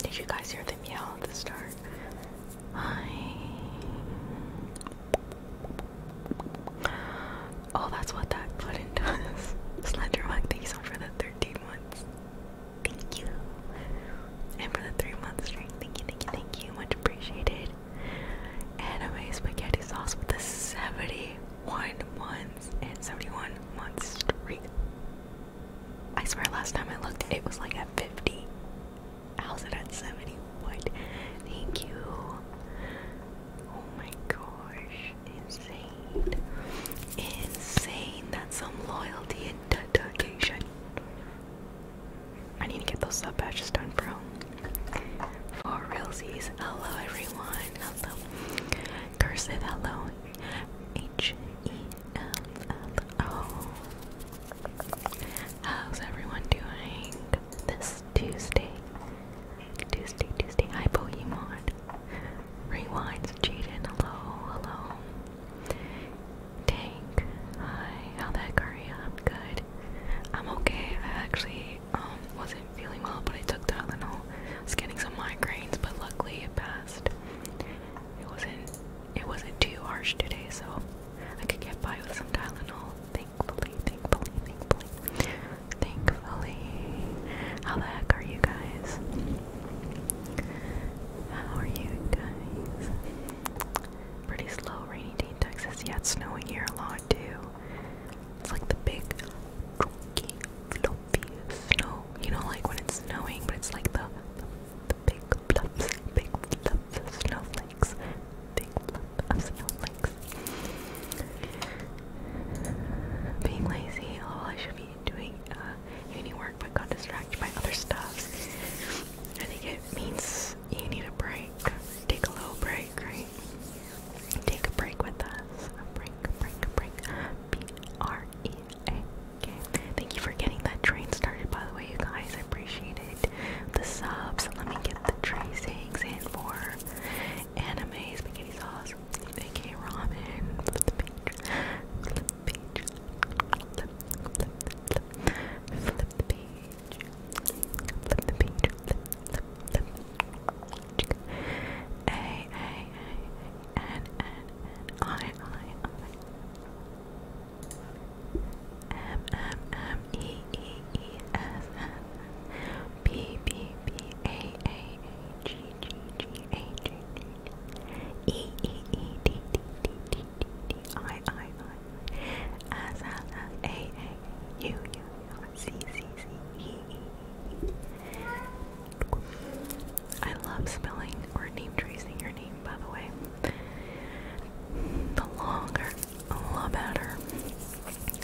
Did you guys hear the yell at the start? I Oh, that's what that button does. Slenderwag, thank you so much for the 13 months. Thank you. And for the three month stream, thank you, thank you, thank you. Much appreciated. Anime spaghetti sauce with the 71 months and 71 months streak. I swear last time I looked it was like at 50. How's it at 71? Thank you. Oh my gosh, insane. Insane. That's some loyalty and dedication. I need to get those sub patches done, bro. For realsies. Hello, everyone. Hello. Cursive, hello. H E L L O. How's everyone doing this Tuesday? Tuesday, Tuesday. Hi, Bohemon. Rewinds. Jaden, hello, hello. Tank, hi. How that Karia? I'm good. I'm okay. I actually um wasn't feeling well, but I took Tylenol. I getting some migraines, but luckily it passed. It wasn't. It wasn't too harsh today, so I could get by with some Tylenol thankfully, thankfully, thankfully, thankfully. How the heck are you guys? How are you guys? Pretty slow rainy day in Texas. Yeah, it's snowing here a lot too. It's like the big, chunky, fluffy snow. You know, like when it's snowing, but it's like the, the, the big, big, snowflakes big month of sound links. Being lazy, oh, I should be doing uh, uni work but got distracted by other stuff. I think it means you need a break. Take a little break, right? Take a break with us. A break, a break, a break. B R E A K. Thank you for getting that train started, by the way, you guys. I appreciate it. The subs. Let me get the tracings in for anime spaghetti sauce, aka ramen, flip the page, flip the page, flip, the page, flip the page, flip, B B B A A A G G G A G G E E E D D D D D I I I S L L A A U U U C C C E E E. I love spelling or name tracing your name, by the way. The longer, the better.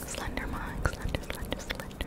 Slender slender, slender, slender.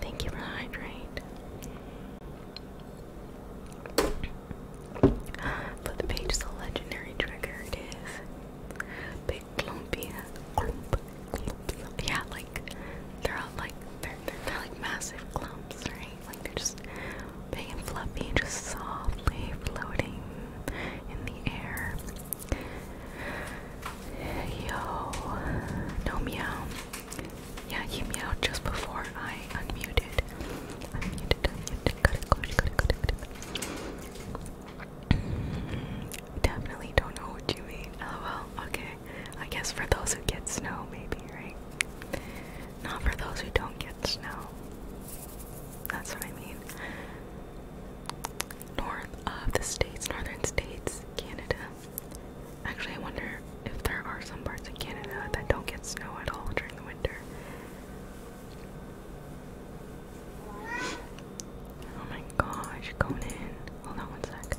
Thank you for the hydrate. For the page, the legendary trigger is big clumpy, Yeah, like they're all like they're they're like massive clumps, right? Like they're just big and fluffy, just softly floating in the air. Yo, no meow. Yeah, you meowed just before I unmuted. Unmuted, unmuted. Got it, got Definitely don't know what you mean. Oh, LOL. Okay. I guess for those who get snow, maybe, right? Not for those who don't get snow. That's what I mean. North of the states, northern states, Canada. Actually, I wonder if there are some parts of Canada that don't get snow at all during the winter. Oh my gosh, Conan. Hold on one sec.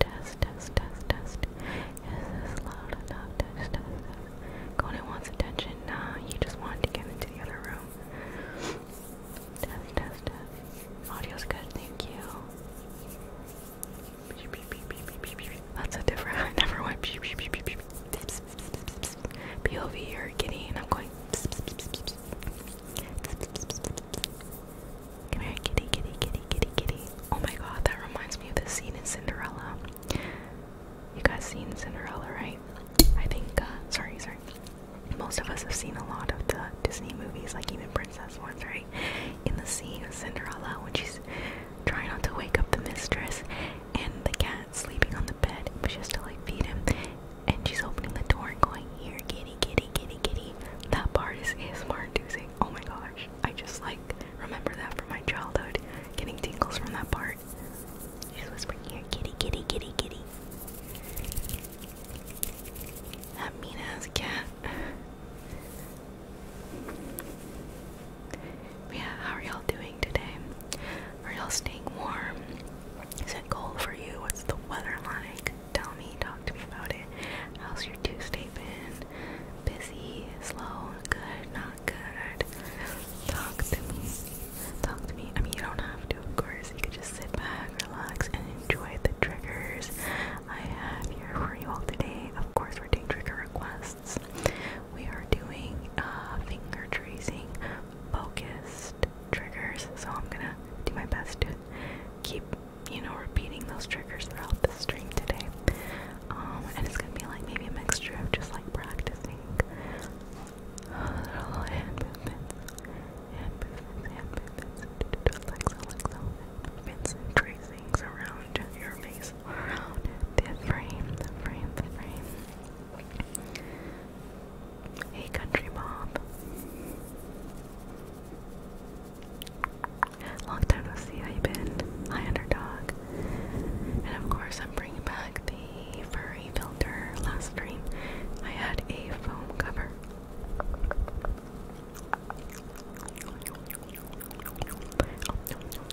Test, test, test, test. Is this loud enough? Test, Conan wants attention. you just wanted to get into the other room. Test, test, test. Audio's good, thank you. That's a different. I never went. POV or and I'm going. Come here, kitty, kitty, kitty, kitty, kitty. Oh my god, that reminds me of the scene in Cinderella. You guys seen Cinderella, right? I think, uh, sorry, sorry. Most of us have seen a lot of the Disney movies, like even princess ones, right? In the scene of Cinderella, when she's trying not to wake up the mistress and the cat sleeping on the bed, but she to like feed him, and she's opening the door and going, Here, kitty, kitty, kitty, kitty. That part is ASMR inducing. Oh my gosh. I just like remember that from my childhood, getting tingles from that part. She's whispering here, kitty, kitty, kitty, kitty. That mean ass cat. yeah, how are y'all doing today? Are y'all staying warm? Is it cold for you? What's the weather like? Tell me, talk to me about it. How's your Tuesday been? Busy, slow, good, good. Talk to me. Talk to me. I mean, you don't have to, of course. You could just sit back, relax, and enjoy the triggers I have here for you all today. Of course, we're doing trigger requests. We are doing uh, finger tracing focused triggers. So I'm gonna do my best to keep, you know, repeating those triggers throughout the stream today. Um, and it's gonna be like maybe a mixture of just like practicing little hand movements, hand movements, hand movements, just like so, like so, movements and tracings around your face, around the frame, the frame, the frame. Hey, country Bob. Long time no see. How you been? Hi, underdog. And of course, I'm bringing back the furry filter last stream. I had a foam cover.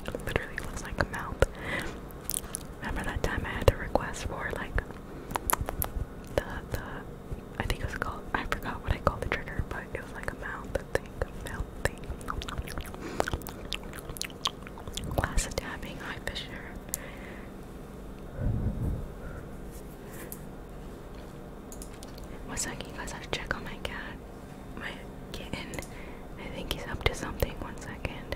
It literally like a mouth. Remember that time I had to request for like the the I think it was called I forgot what I called the trigger, but it was like a mouth thing. Glass dabbing eye fissure. One second, you guys. have to check on my cat. My kitten. I think he's up to something. One second.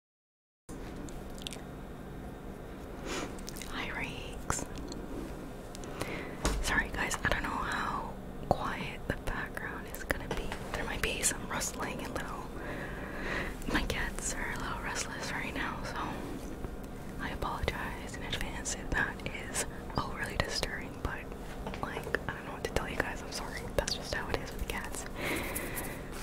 Hi, Reeks. Sorry, guys, I don't know how quiet the background is gonna be. There might be some rustling and little. My cats are a little restless right now, so I apologize in advance if that is overly disturbing, but like, I don't know what to tell you guys. I'm sorry. That's just how it is with cats.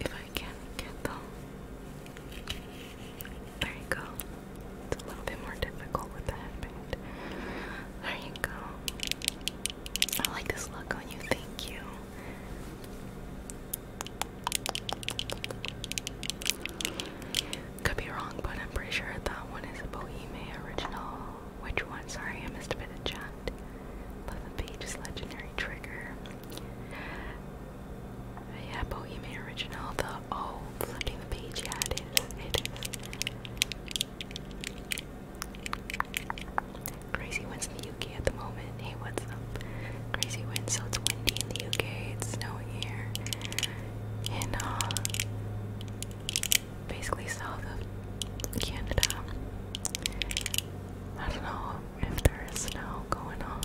If I can get them. There you go. It's a little bit more difficult with the headband. There you go. I like this look on you. Thank you. Could be wrong, but I'm pretty sure that one is a Boheme original. Which one? Sorry, I missed a bit of chat. Left the page's legendary trigger. Yeah, Boheme original. The oh, flipping the page. Yeah, it is. It is. Crazy winds in the UK at the moment. Hey, what's up? Crazy winds. So it's windy in the UK. It's snowing here. And uh, basically south of Canada. I don't know if there is snow going on,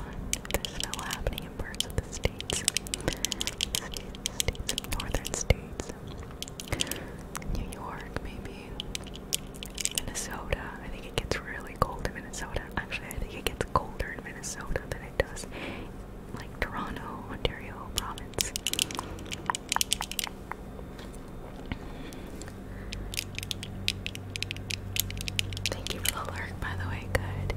there's snow happening in parts of the states, states, northern states, New York, maybe, Minnesota. I think it gets really cold in Minnesota. Actually, I think it gets colder in Minnesota than does. Like Toronto, Ontario province. Thank you for the lurk, by the way. Good.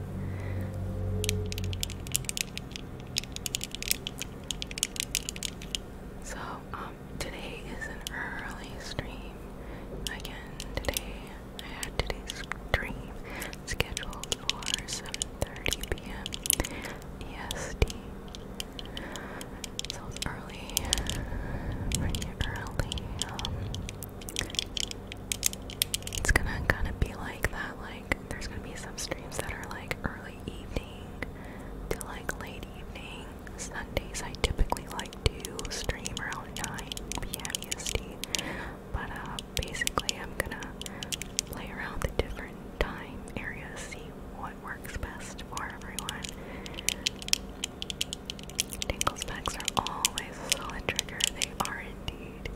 So, um, today is an early stream. Again, today I had today's stream scheduled for 7.30 p.m. EST. So it's early, pretty early. Um, it's gonna kind of be like that, like, there's gonna be some streams that are like early evening to like late evening. Sundays I typically like to stream around 9 p.m. EST, but uh, Basically, I'm gonna play around the different time areas, see what works best for everyone. Tinkle specs are always a trigger. They are indeed.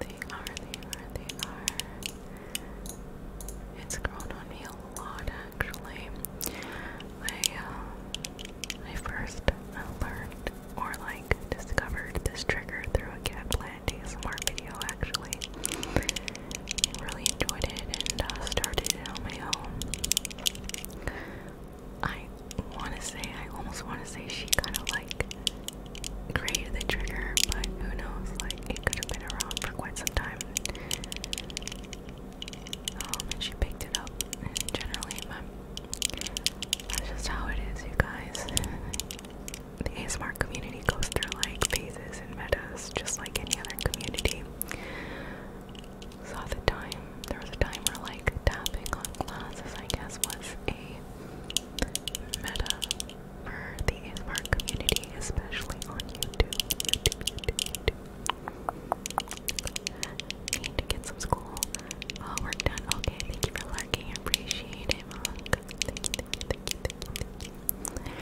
They are, they are, they are. It's grown on me a lot actually. I uh, I first learned or like discovered this trigger through a cat play that ASMR video actually. I really enjoyed it and uh, started it on my own. I want to say, I almost want to say she kind of like created the trigger, but who knows? Like, it could have been around for quite some time. Um, and she picked it up, and generally, my, that's just how it is, you guys the ASMR community goes through like phases and metas just like any other community. So the time, there was a time like tapping on glasses, I guess, was a meta for the ASMR community, especially on YouTube. Need to get some school uh, work done. Okay, thank you for liking. appreciate it, thank you, thank you, thank you.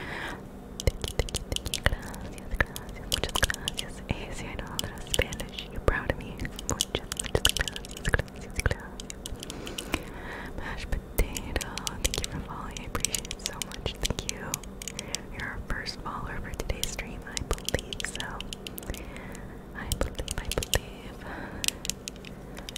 Gracias, gracias, muchas gracias. Hey, see, I know Spanish. You're proud of me. Muchas, muchas gracias, gracias, gracias. Mashed potato, thank you for following. I appreciate it so much. Thank you. You're our first follower for today's stream, I believe so. I believe, I believe.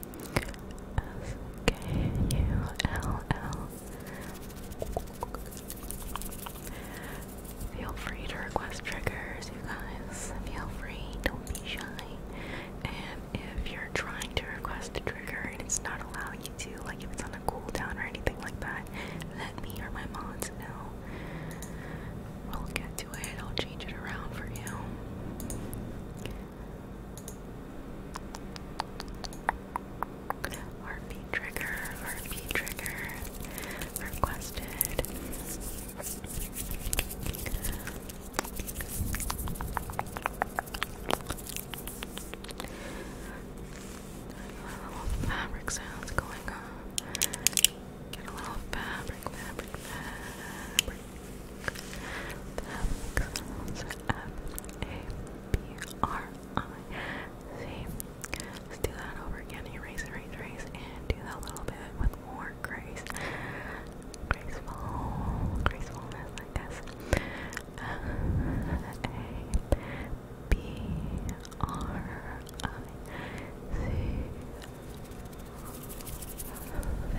S K U L L. Feel free to request triggers, you guys. Feel free, don't be shy. And if you're trying to request a trigger and it's not allowing you to, like if it's on a cooldown or anything like that, let me or my mods know. We'll get to it, I'll change it around for you. RP trigger, RP trigger requested. A little fabric sounds going on. Get a little fabric, fabric. Fabulous, F-A-B-R-I-C. do that over again. Erase, erase, erase, and do that a little bit with more grace. Graceful, gracefulness, I guess. F-A-B-R-I-C.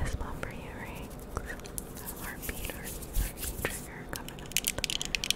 This one for you, Riggs. Heartbeat or heartbeat trigger coming up. Good,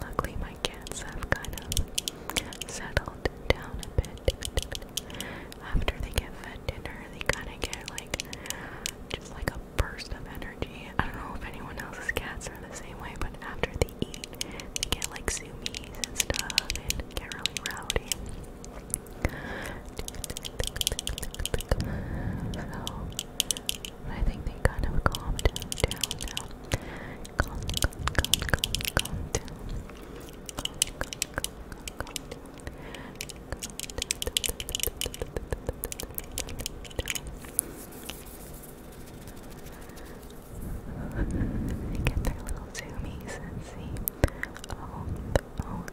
Luckily, my cats have kind of settled down a bit. After they get fed dinner, they kind of get like just like a burst of energy. I don't know if anyone else's cats are the same way, but after they eat, they get like zoomies and stuff and get really rowdy. I think they kind of calmed down, down, down. Calm, calm, calm, calm, calm down. Calm, calm, calm, calm, calm down. Get their little zoomies and see. Oh, oh,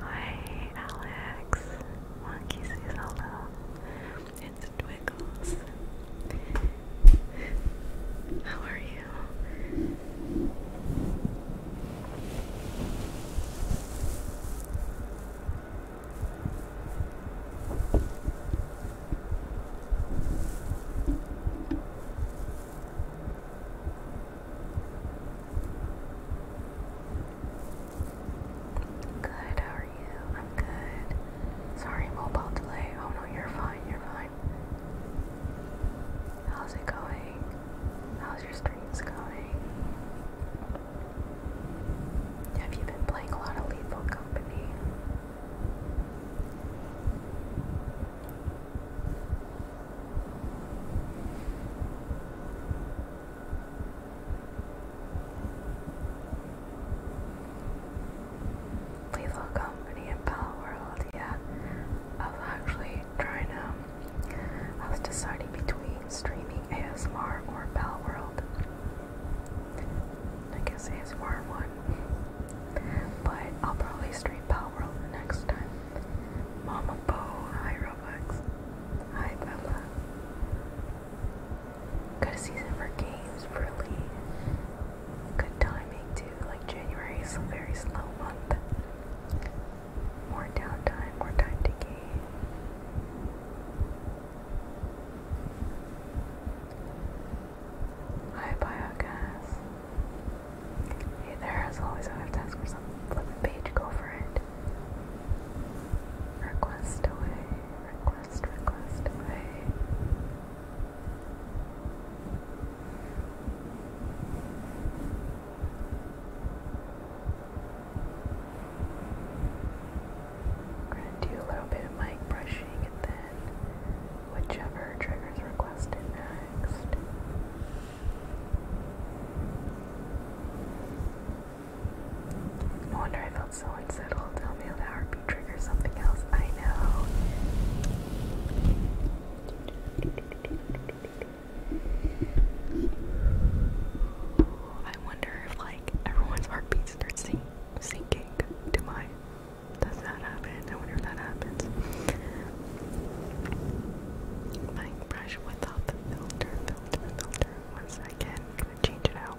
Hi, Alex. Monkey says hello. It's Twiggles. How are you? Good, how are you? I'm good. Sorry, mobile delay. Oh no, you're fine, you're fine. How's it going? How's your streams going? Have you been playing a lot of Lethal Company? Lethal Company and Power World, yeah. I was actually trying to, I was deciding between streaming ASMR or Pal World. I guess ASMR one. But I'll probably stream Pal World next time. Mama Bo, hi Robux. Hi Bella. a season for games, really. Good timing too, like January is a very slow month. More downtime, more time to gain. Hi biogas. Hey there, as always I have to ask for flip a page, go for it. Request away, request, request away going to do a little bit of mic brushing and then whichever trigger is requested next. No wonder I felt so unsettled. Tell me the heartbeat triggers something else. I know. I wonder if like everyone's heartbeat starts sinking to mine. Does that happen? I wonder if that happens. My brush without the filter, filter, filter. 12nd change it out.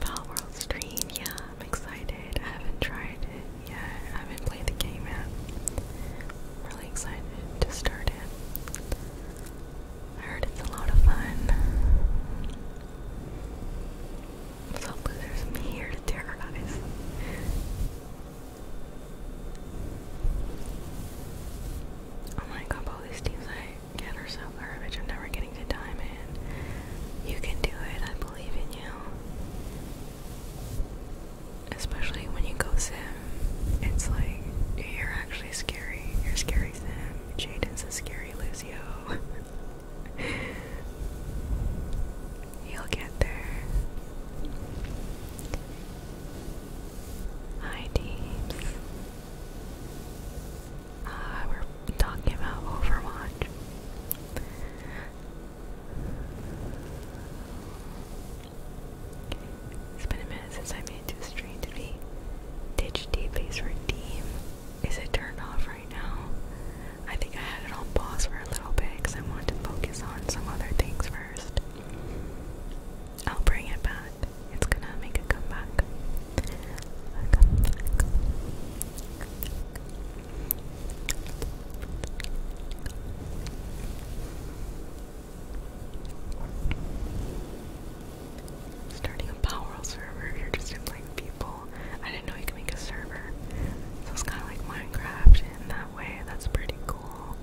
Power World Stream, yeah, I'm excited. I haven't tried it yet. I haven't played the game yet. I'm really excited to start it. I heard it's a lot of fun. So losers, I'm here to terrorize. Oh my god, all these teams I get are garbage. I'm never getting a diamond. You can do it, I believe in you. Especially when you go sim. It's like, you're actually scary. You're scary sim. Jaden's a scary Lucio. You'll get there. Hi, teams. Uh, we're talking about Overwatch. It's been a minute since I made this stream to be Ditch D base for Is it turned off right now? I think I had it on pause for a little bit because I want to focus on some other things first. I'll bring it back. It's gonna make a comeback. A comeback. Starting a Powerwall server, you're just inviting people. I didn't know you could make a server. So it's kind of like Minecraft, that way. That's pretty cool.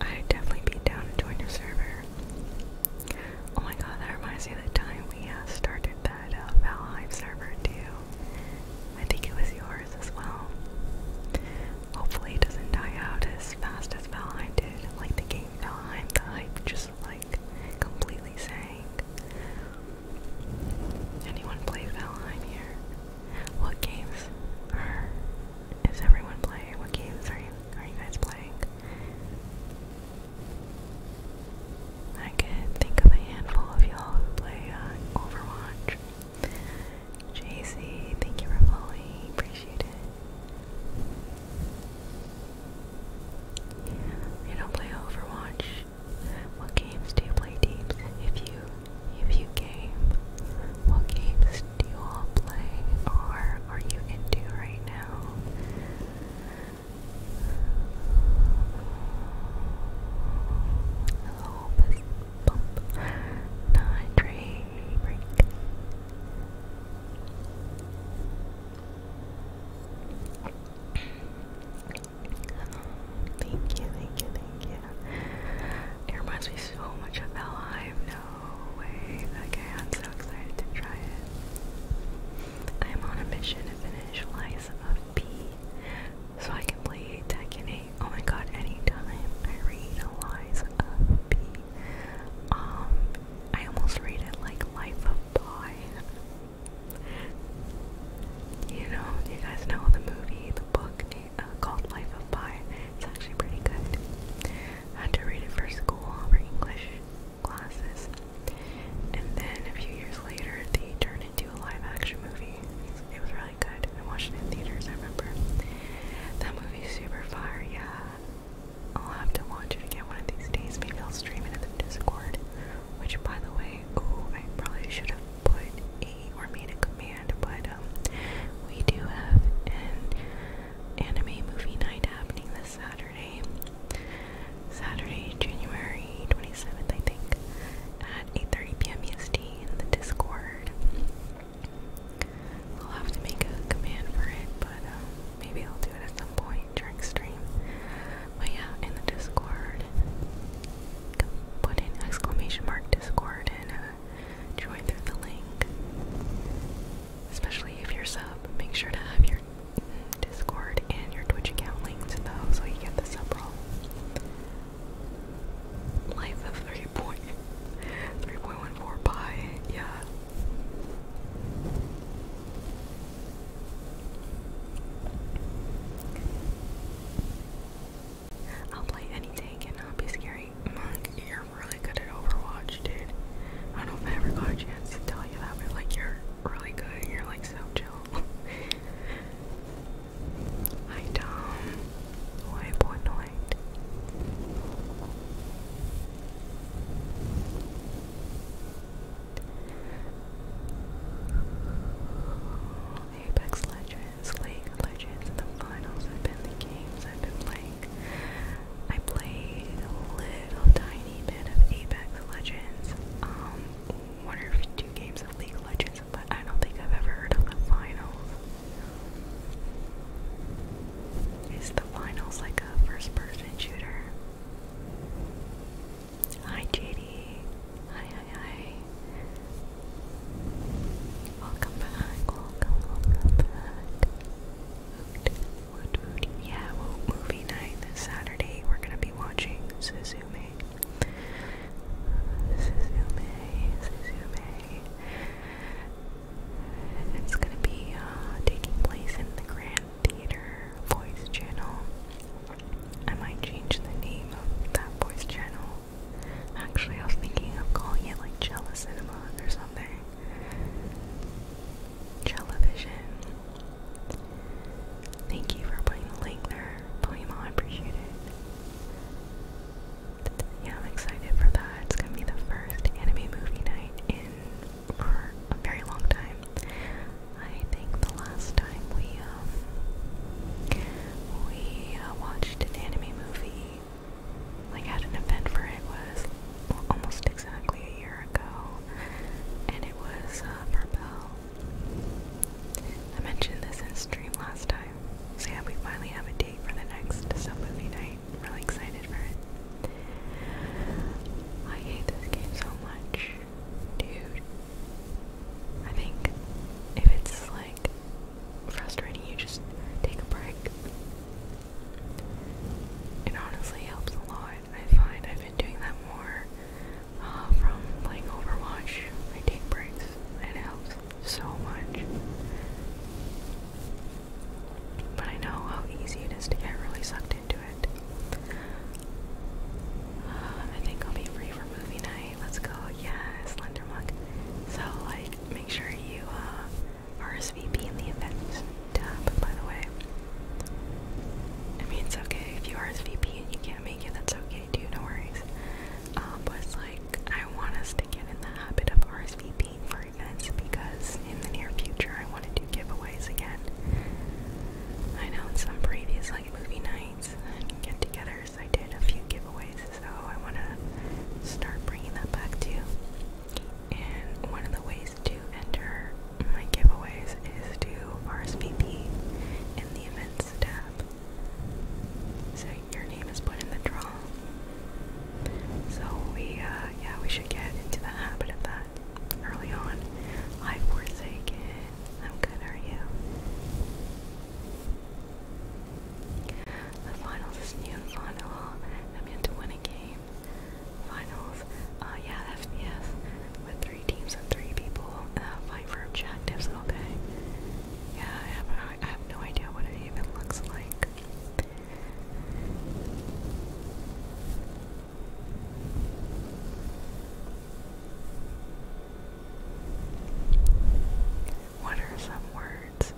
I'd definitely be down to join your server. Oh my god, that reminds me of the time we uh, started that uh, Valheim server too. I think it was yours as well. Hopefully it doesn't die out as fast as Valheim did. Like the game Valheim, just like completely sank. Anyone play Valheim here? What games are, is everyone playing? What games are you are you guys playing? I could think of a handful of y'all who play uh, Overwatch. JC, thank you for following. Appreciate it. you don't play Overwatch, what games do you play teams? If you if you game, what games do you all play or are you into right now? Hello, bump. Not trade break thank you, thank you, thank you. It reminds me so much of Bella. I have no way. Okay, i so excited to try it. I am on a mission to finish Lies of P so I can play Tekken Oh my god, anytime I read Lies of P, um, I almost read it like Life of Pi. You know, you guys know the movie, the book eh, uh, called Life of Pi. It's actually pretty good. I had to read it for school, for English classes. And then a few years later, they turned it into a live action movie. It was really good. I watched it in theaters, I remember. That movie's super fire, yeah. I'll have to watch it again one of these days. Maybe I'll stream it in the Discord. Which, by the way, ooh, I probably should have put a or made a command, but um, we do have an anime movie night happening this Saturday, Saturday, January 27th, I think, at 8:30 p.m. EST in the Discord. We'll have to make a command for it, but um, maybe I'll do it at some point during stream. But yeah, in the Discord put in exclamation mark Discord and uh, join through the link. Especially if you're sub, make sure to have your Discord and your Twitch account linked though, so you get the sub roll. Life of 3 point, 3.14 pie, yeah. I'll play any tank and not be scary. Monk, you're really good at Overwatch, dude. I don't know if I ever got a chance to tell you that, but like you're really good. You're like so chill. Hi Tom. Why one night? Apex Legends. League of Legends. The finals have been the games I've been playing. I played a little tiny bit of Apex Legends, um, one or two games of League of Legends, but I don't think I've ever heard of the finals. Is the finals like a first person shooter? Hi JD, Hi, hi, hi. Welcome back, welcome, welcome back. movie? Yeah, well, movie night this Saturday. We're gonna be watching Suzume. Suzume, Suzume. It's gonna be uh, taking place in the Grand Theater Voice Channel. I might change the name of that voice channel Actually, I was thinking of calling it like Jella Cinema or something. Television. Thank you for putting the link there, Poema. I appreciate it. Yeah, I'm excited for that. It's gonna be the first anime movie night in for a very long time. I think the last time we um, we uh, watched an anime movie. Like, had an event for it was almost exactly a year ago, and it was uh, Purple. I mentioned this in stream last time, so we finally have a date for the next sub movie night. really excited for it. I hate this game so much, dude. I think if it's like frustrating, you just take a break. It honestly helps a lot. I find I've been doing that more uh, from playing Overwatch. I take breaks, and it helps so much. But I know how easy it is to get really sucked into it. Uh, I think I'll be free for movie night let's go. Yeah, Slender Monk. So, like, make sure you uh, RSVP in the event tab, by the way. I mean, it's okay if you RSVP and you can't make it, that's okay too, no worries. Um, but it's like, I want us to get in the habit of RSVPing for events because in the near future I want to do giveaways again. I know in some previous, like, movie nights and get togethers I did a few giveaways, so I want to start bringing that back to you. And one of the ways to enter my giveaways is to RSVP in the events tab. So your name is put in the draw. So we, uh, yeah, we should get into the habit of that early on. I've forsaken. I'm good, are you? The finals is new final. I'm yet to win a game. Finals, uh, yeah, FPS with three teams and three people uh, fighting for objectives all day. Yeah, I have no idea what it even looks like. What are some words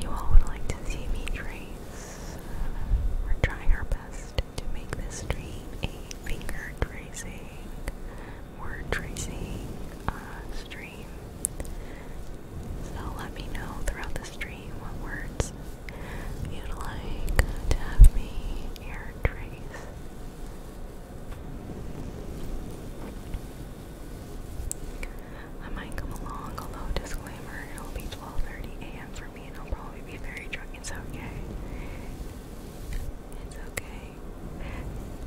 you all would like to see me trace? We're trying our best to make this a finger tracing, word tracing uh, stream. So let me know throughout the stream what words you'd like to have me trace. I might come along, although disclaimer, it'll be 12:30 a.m. for me, and I'll probably be very drunk. It's okay. It's okay.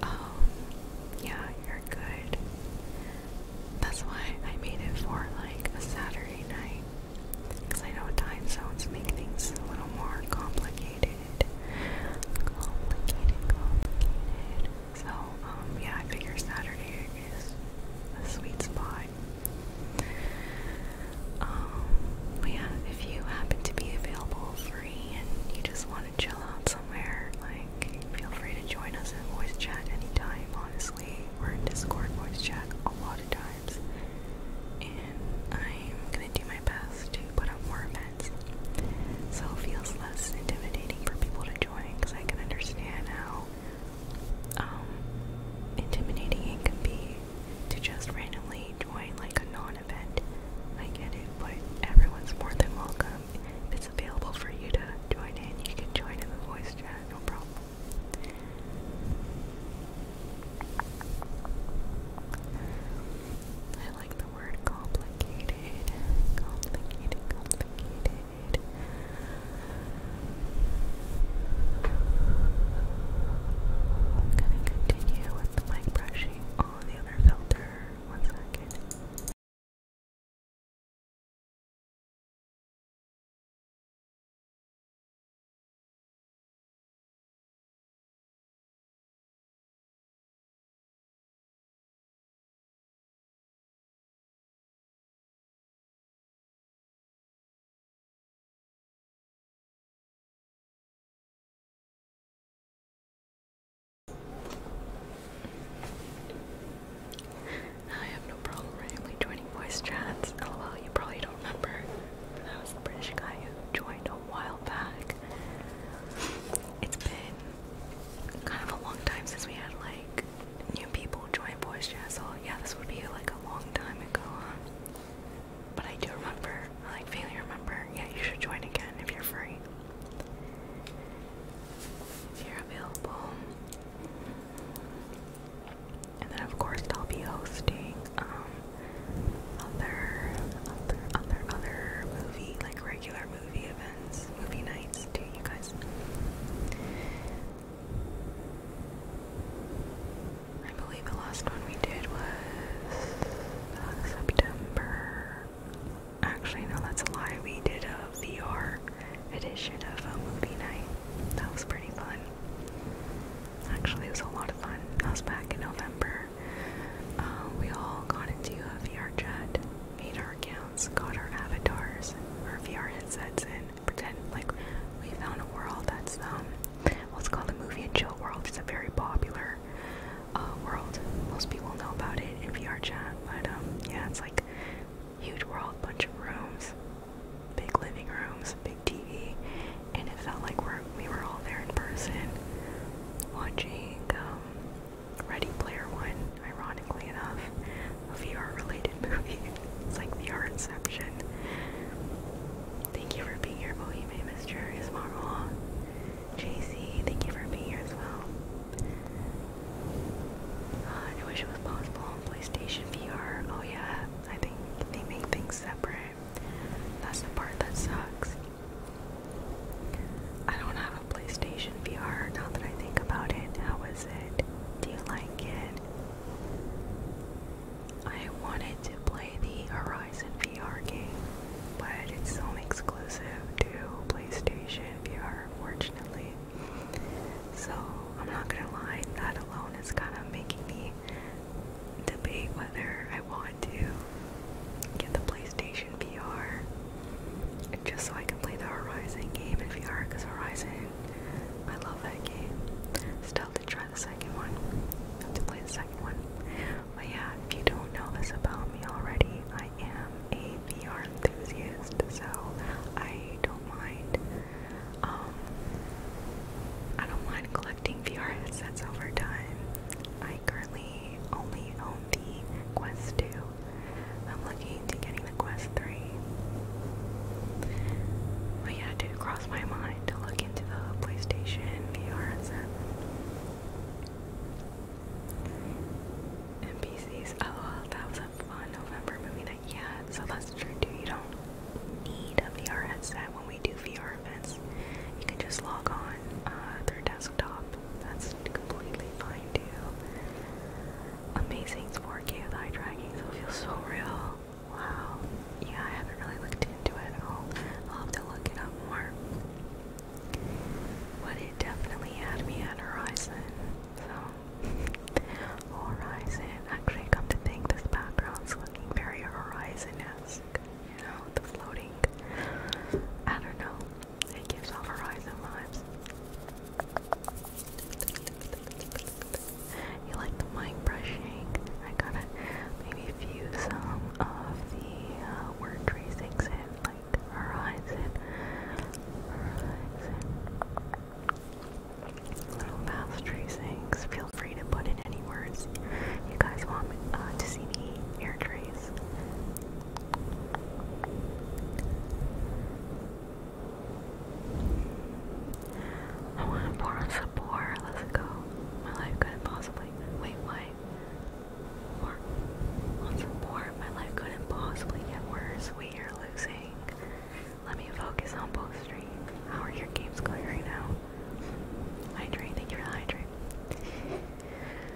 Um, yeah, you're good. That's why I made it for like a Saturday night, because I know time zones make things a little more complicated. So, um, yeah, I figure Saturday is a sweet spot. Um, but yeah, if you happen to be available free and you just want to chill out somewhere, like, feel free to join us in voice chat anytime, honestly. We're in Discord voice chat a lot of times. And I'm gonna do my best to put up more events so it feels less intimidating for people to join because I can understand how um, intimidating it can be to just randomly join like a non-event. I get it, but everyone's more than welcome. If it's available for you to join in, you can join in the voice chat, no problem. I like word complicated. Complicated, complicated. I'm gonna continue with the mic brushing on the other filter. One second. I have no problem randomly joining voice chats. LOL, you probably don't remember. That was the British guy who joined a while back. It's been kind of a long time since we had like new people join voice Jazz. So yeah, this would be like a long time ago. But I do remember, I like vaguely remember. Yeah, you should join again if you're free. If you're available. And then of course I'll be hosting um, other other other other movie like regular movie events, movie nights too, you guys. I believe the last one we did was uh, September. Actually, no, that's a lie. We did a VR edition of a movie night. That was pretty fun. Actually, it was a lot of fun. That was back in November. Uh, we all got into a VR chat, made our accounts, got our avatars, our VR headsets, and pretend like we found a world that's um, what's called the movie and chill world. It's a very popular uh, world. Most people know about it in VR chat, but um, yeah, it's like huge world, bunch of rooms, big living rooms, big TV, and it felt like we're, we were all there in person watching um, Ready Player One, ironically enough, a VR related movie. It's like VR Inception. Thank you for being here, Bohemian Mysterious Marvel. JC, thank you for being here as well. Uh, I wish it was possible on PlayStation VR. Oh yeah, I think they make things separate. That's the part that sucks. I don't have a PlayStation VR now that I think about it. How is it? Do you like it? I wanted to play the Horizon VR game, but it's only exclusive to PlayStation VR, unfortunately. So I'm not gonna lie, that alone is kind of making me debate whether I want to get the PlayStation VR just so I can play the Horizon game in VR because Horizon, I love that game. Still to try the second one, have to play the second one. But yeah, if you don't know this about me already, I am a VR enthusiast, so I don't mind. Um, I don't mind collecting VR headsets over time. I currently only own the Quest 2. I'm looking to getting the Quest 3. But yeah, it did cross my mind to look into the PlayStation VR headset. And Oh, that was a fun November movie night. Yeah, so that's true too. You don't need a VR headset when we do VR events. You can just log on uh, through desktop that's completely fine too. Amazing 4K with eye tracking, so it feels so real. Wow. Yeah, I haven't really looked into it at all. I'll have to look it up more. But it definitely had me at Horizon. So, Horizon. Actually, come to think, this background's looking very Horizon-esque. You know, the floating. I don't know. It gives off Horizon vibes. You like the mic brushing? I gotta maybe fuse some of the uh, word tracings in, like Horizon. Little mouth tracings. Feel free to put in any words you guys want uh, to see me air trace. I want to pour Let's go. My life couldn't possibly. Wait, what? Pour on My life couldn't possibly get worse. We are losing. Let me focus on Bow Street. How are your games going right now? Hydrate. Thank you for the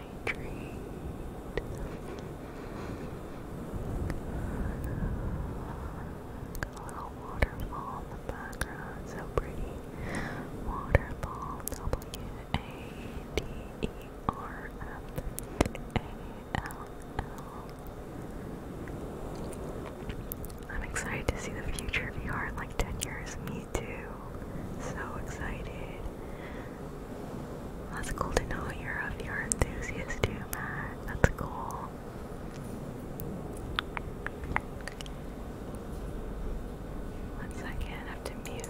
hydrate. a little waterfall in the background, so pretty. Waterfall, W A D E R F A L L. I'm excited to see the future of VR in like 10 years. Me too. So excited. That's cool to know you're a VR enthusiast too, Matt. That's cool. One second, have to mute.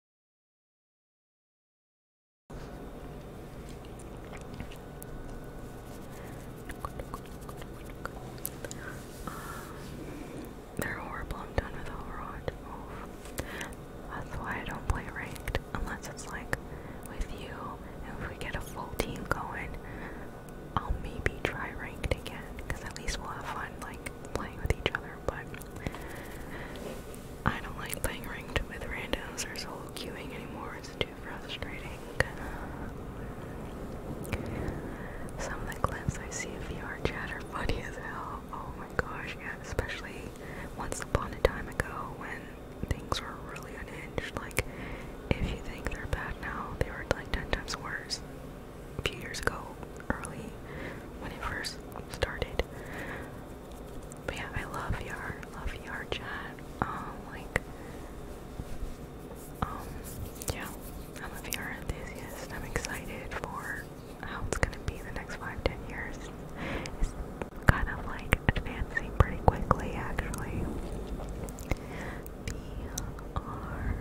they're horrible. i done with Overwatch. That's why I don't play ranked unless it's like with you. And if we get a full team going, I'll maybe try ranked again because at least we'll have fun like playing with each other. But I don't like playing ranked with randos or solo queuing anymore, it's too frustrating. Some of the clips I see of VR chat are funny as hell. Oh my gosh, yeah, especially once upon a time ago when things were really unhinged. Like, if you think they're bad now, they were like 10 times worse a few years ago, early when it first started. But yeah, I love VR, love VR chat. Um, like, um, yeah, I'm a VR enthusiast. I'm excited for how it's gonna be the next five, ten years. It's kind of like advancing pretty quickly, actually. VR,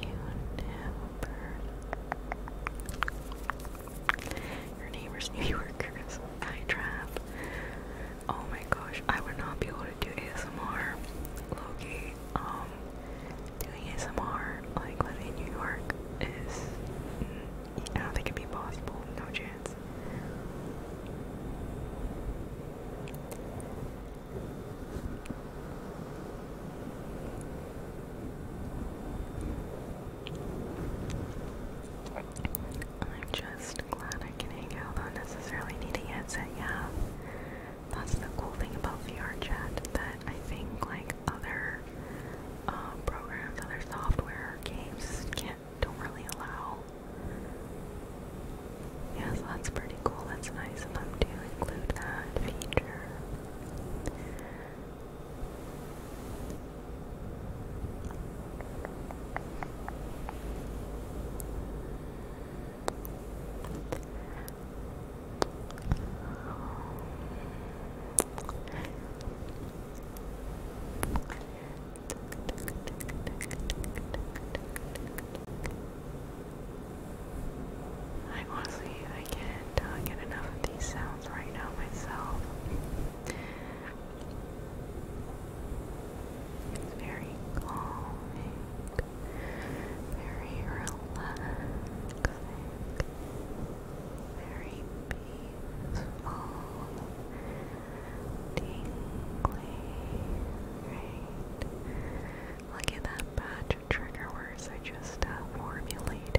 you never your neighbor's New Yorkers. I trap. Oh my gosh, I would not be able to do ASMR. Loki, um, doing ASMR like living in New York is. Mm, I don't think it'd be possible. No chance. I'm just glad I can hang out without necessarily needing a headset, yeah. That's the cool thing about VR chat that I think like other uh, programs, other software games can't don't really allow. Yeah, that's pretty cool. That's nice of them to include that feature. I honestly, I can't uh, get enough of these sounds right now myself. It's very calming, very relaxing, very peaceful, tingly, Look at that batch of trigger words I just uh, formulated.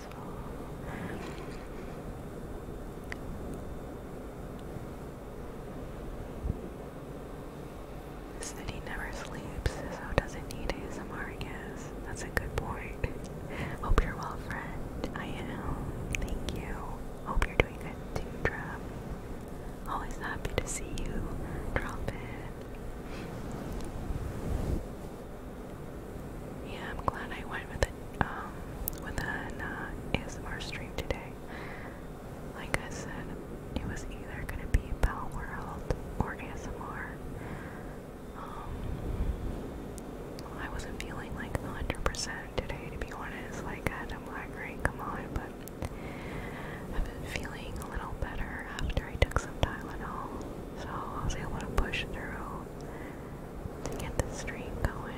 the city never sleeps, so doesn't need ASMR, I guess. That's a good point. Hope you're well, friend. I am. Thank you. Hope you're doing good too, Drop. Always happy to see you drop yeah, I'm glad I went with a um, with an uh, ASMR stream today. Like I said, it was either gonna be Pal or ASMR. Um, I wasn't feeling like 100% today, to be honest. Like I am a great, come on, but I've been feeling a little better after I took some Tylenol. So I was able to push through to get the stream going.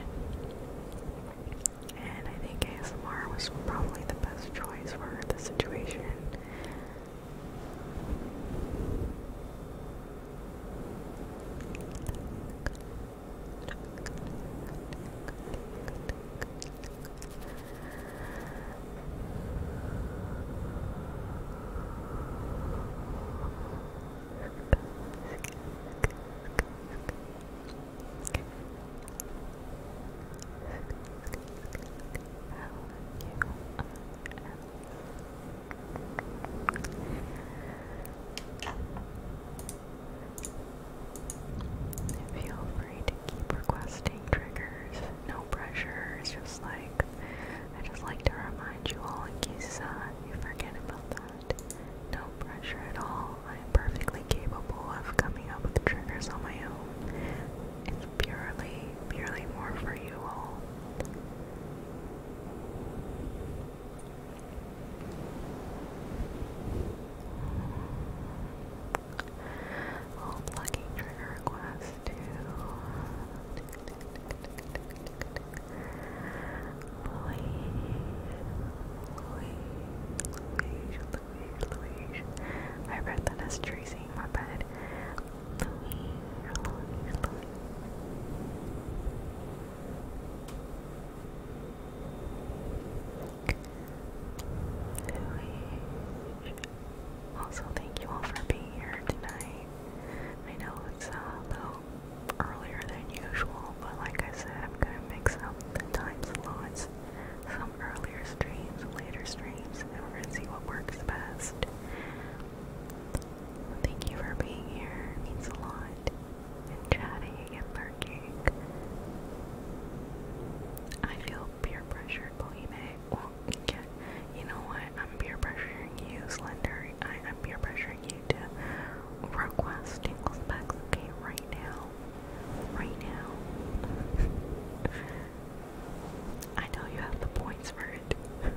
And I think ASMR was probably the best choice for the situation. Feel free to keep requesting triggers. No no pressure. It's just like I just like to remind you all in case uh, you forget about that. No pressure at all. I am perfectly capable of coming up with triggers on my own. It's purely, purely more for you all. All plugging trigger requests to I read that as Tracy, my bad. Also, thank you all for being here tonight. I know it's a little earlier than usual, but like I said, I'm gonna mix up the time slots. Some earlier streams, later streams, and we're gonna see what works best. Thank you for being here. It means a lot. And chatting and lurking. I feel peer pressure, Bohime you know what? I'm peer pressuring you, Slender. I, am peer pressuring you to request tingles specs, okay, right now. Right now. I know you have the points for it.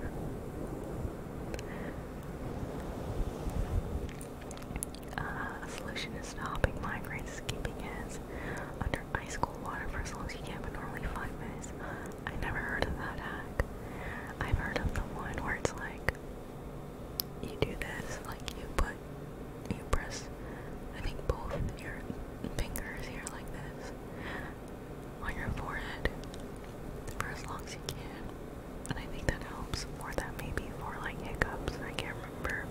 Uh, a solution is stopping migraines is under ice cold water for as long as you can, but normally five minutes. I never heard of that hack. I've heard of the one where it's like you do this, like you put you press I think both your fingers here like this on your forehead for as long as you can. And I think that helps. Or that maybe for like hiccups, I can't remember.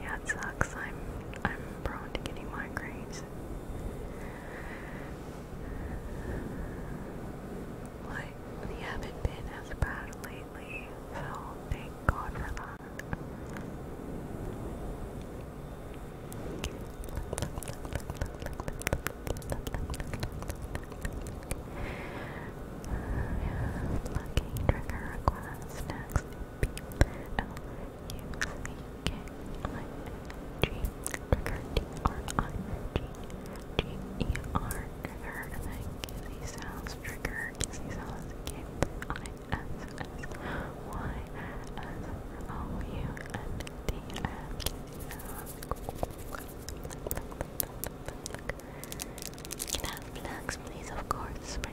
Yeah, it sucks. I'm I'm prone to getting migraines. Like they haven't been as bad lately, so thank God for that. Plucking trigger request next. L U C K I G trigger T R I G G E R trigger sounds trigger kizzy sounds K I S S Y S O U N D M sounds Can I have plugs please of course my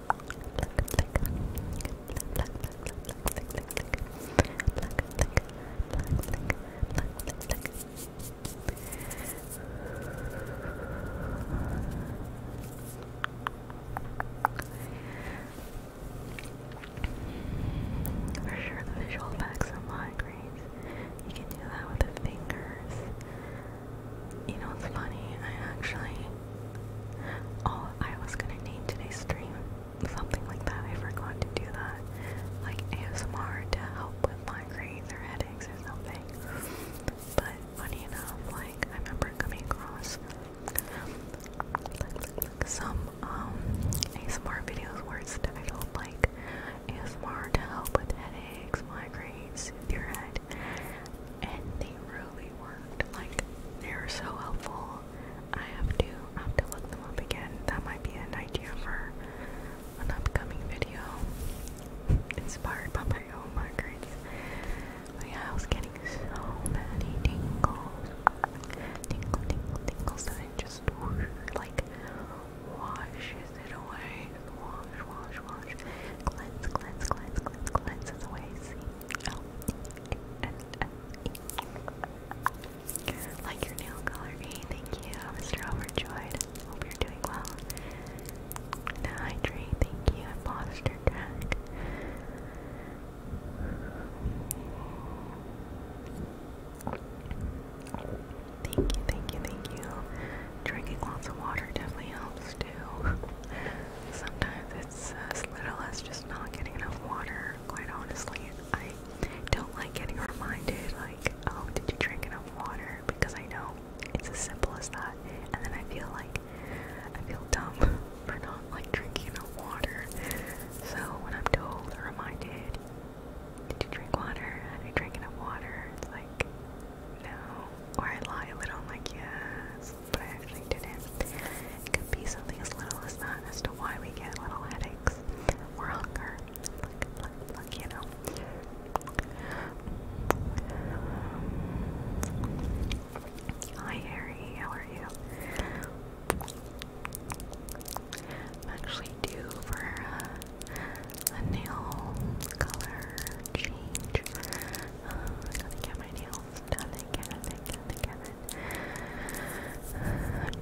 For sure, the visual effects of migraines. You can do that with the fingers. You know what's funny? I actually Oh, I was gonna name today's stream something like that. I forgot to do that. Like ASMR to help with migraines or headaches or something. But funny enough, like I remember coming across some um ASMR videos where it's titled like ASMR to help with headaches, migraines, your head. And they really worked. Like they were so helpful I have to have to look them up again. That might be an idea for an upcoming video. Inspired by my own migraines. But yeah, getting so many tingles. Tingle, tingle, tingles that it just like washes it away. Wash, wash, wash. Cleanse, cleanse, cleanse, cleanse, cleanses away. Like your nail color, thank you, Mr. Overjoyed. Hope you're doing well. Now hydrate, thank you, imposter crack. Thank you, thank you, thank you. Drinking lots of water definitely helps too. Sometimes it's as little as just just not getting enough water, quite honestly. I don't like getting reminded, like, oh, did you drink enough water? Because I know it's as simple as that. And then I feel like I feel dumb for not like drinking enough water. So when I'm told or reminded, did you drink water? Have you drank enough water? It's like, no. Or I lie a little, I'm like, yes but I actually didn't. It could be something as little as that as to why we get little headaches or hunger. Like, like, like you know. Hi Harry, how are you? actually due for uh, a nail color change. Uh, I gotta get my nails done again, again, again,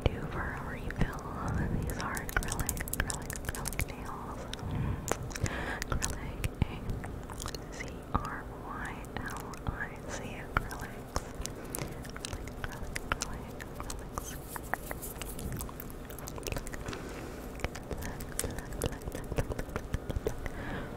do for a refill. These are acrylic, acrylic, acrylic nails. Acrylic, A C R Y L I C acrylics. Acrylic, acrylic, acrylic,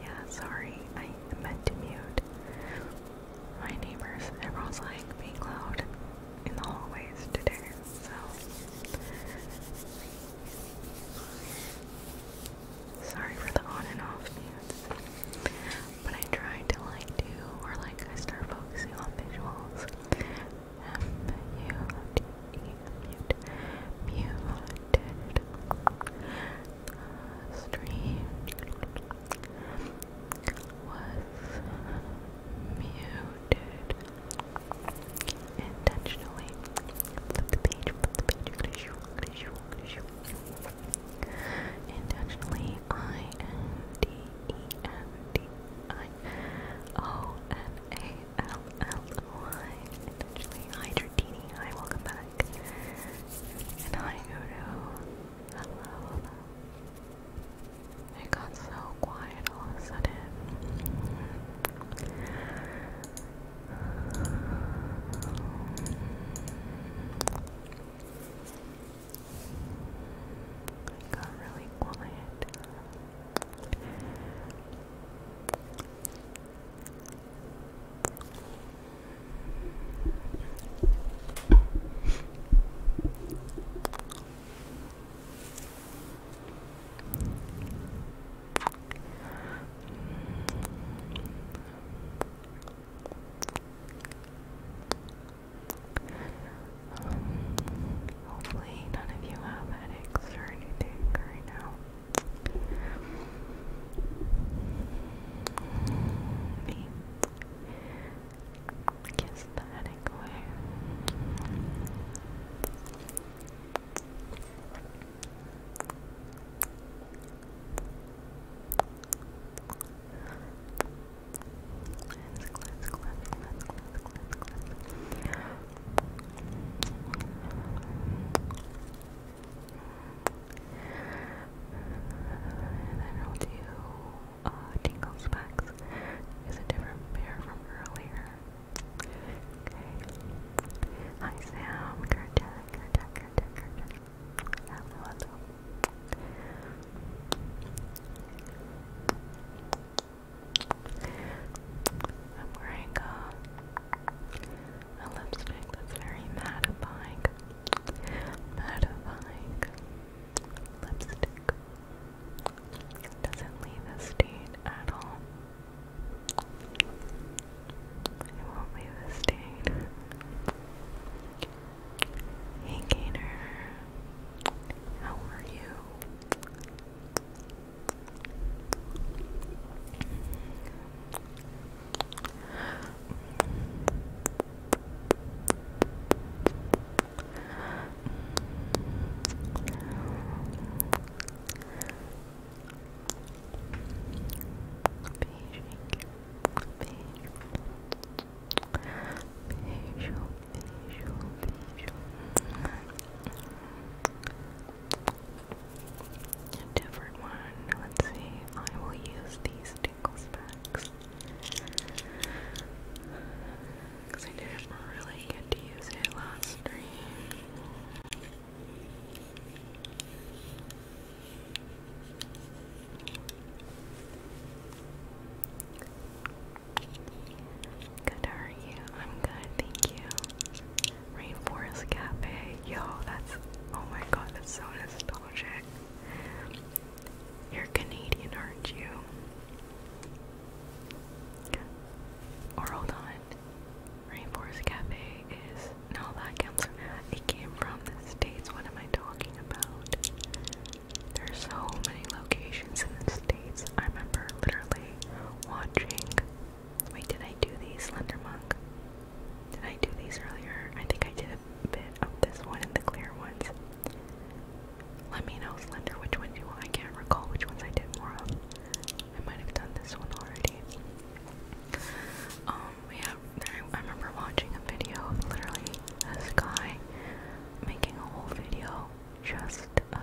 Yeah, sorry, I meant to mute. My neighbors, everyone's like being loud in the hallways today. So sorry for the on and off dance. But I try to like do or like I start focusing on visuals. M U T E mute muted uh, was muted intentionally flip the page, the page, finish, finish, finish. Intentionally, Intentionally, hi Dratini, hi, welcome back. And hi Udo. Hello, hello. got so quiet quiet all got really quiet. Um, hopefully, none of you have headaches or anything right now. Kiss the headache away. And then I'll do uh, tingles packs. a different pair from earlier. Okay. Hi Sam, Kurtek, Kurtek, Kurtek, Kurtek. Hello, hello. I'm wearing a, lipstick that's very mattifying. Mattifying lipstick. Doesn't leave a stain at all. I won't leave the state. Hey Gator, how are you? beijo, beijo, beijo. A different one. Let's see. I will use these tinkle specs because I didn't really get to use it last stream. Good, how are you? I'm good, thank you. Rainforest Cafe. Yo, that's. Oh my god, that's so nostalgic. You're Canadian, aren't you? Or hold on. Rainforest Cafe is no that comes counts. It came from the States. What am I talking about? There's so many locations in the States. I remember literally watching wait, did I do these Slender Monk? Did I do these earlier? I think I did a bit of this one and the clear ones. Let me know, Slender, which ones you I can't recall which ones I did more of. I might have done this one already. Um, yeah, I, remember watching a video of literally a guy making a whole video just of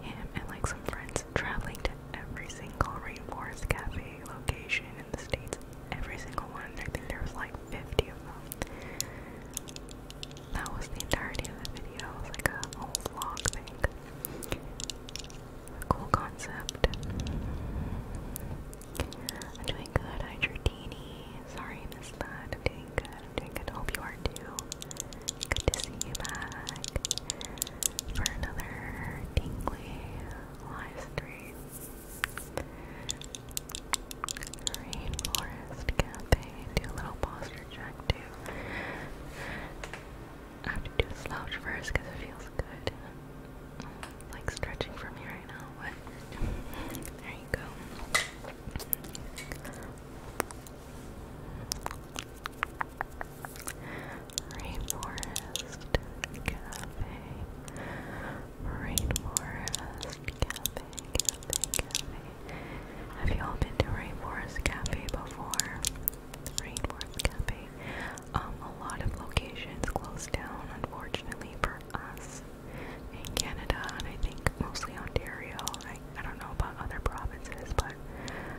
him and like some friends traveling to every single Rainforest Cafe location in the States. Every single one. I think there was like 50 of them. That was the entirety of the video. It was like a whole vlog thing. Cool concept. doing good. Hi, Sorry I missed doing good. doing good. Hope you are too. Good to see you back for another tingly live stream. Rainforest Cafe. Do a little posture check too. I have to do a slouch first because it feels good. like stretching from me right now, but there you go. Rainforest Cafe. Rainforest Cafe, Cafe, Cafe. Have you all been to Rainforest Cafe before? the Rainforest Cafe. Um, a lot of locations closed down, unfortunately, for us in Canada, and I think mostly Ontario. I, I don't know about other provinces, but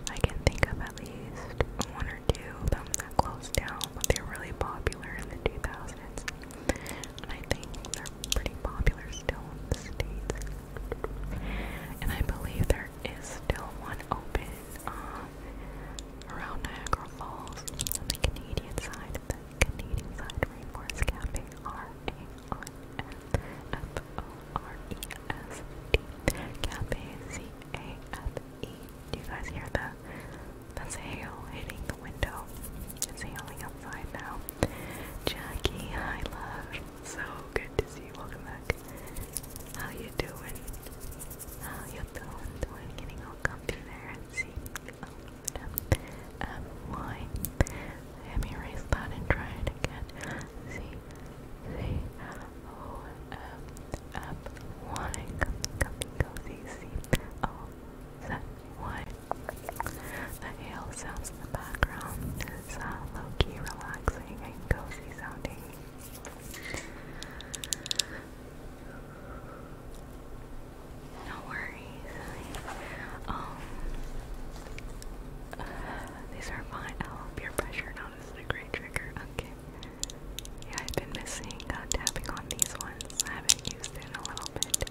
I can think of at least one or two of them that closed down, but they were really popular in the 2000s. And I think they're pretty popular still in the States. And I believe there is still one open uh, around Niagara Falls on the Canadian side, the Canadian side Rainforest Cafe, R-A-I-N-F-O-R-E-S-T, Cafe, C-A-F-E. Do you guys hear the, that's hail hitting the window? It's hailing outside now. Jackie, I love. So good to see you. Welcome back. How you doing? How you doing? Doing? Getting all comfy there and seeing all of them. Um, why? Let me erase that and try it again. See, see, oh, um, up, um, why? Come, come, cozy, see, oh, set, why? The hail sounds in the background is uh, low-key relaxing and cozy sounding. No worries. Um, these are fine. Oh, peer pressure. this is a great trigger. Okay. Yeah, I've been missing uh, tapping on these ones. I haven't used it in a little bit.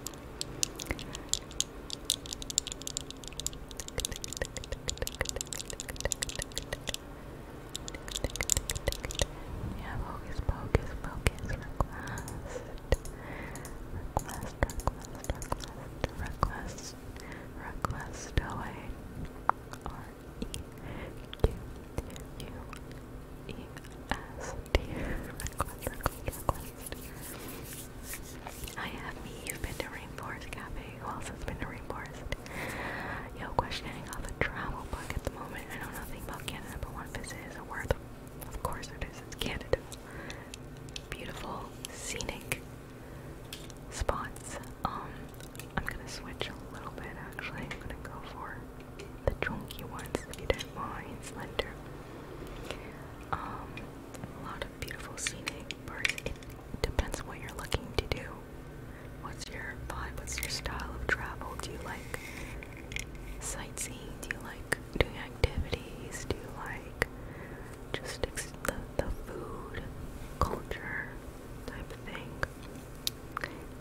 We have Hocus Pocus request. Request, request, request, request, request R E Q U E S T. Request, request, request. I have me. You've been to Rainforest Cafe. Who else has been to Rainforest? it. Yo, questioning off a travel book at the moment. I know nothing about Canada, but one visit is a worth. Of course it is. It's Canada. Beautiful, scenic spots. Um, I'm gonna switch a little bit actually. I'm gonna go for the chunky ones if you don't mind, slender. Um, a lot of beautiful scenic parts. It depends what you're looking to do. What's your vibe? What's your style of travel? Do you like sightseeing? Do you like doing activities? Do you like just the, the food, culture type of thing?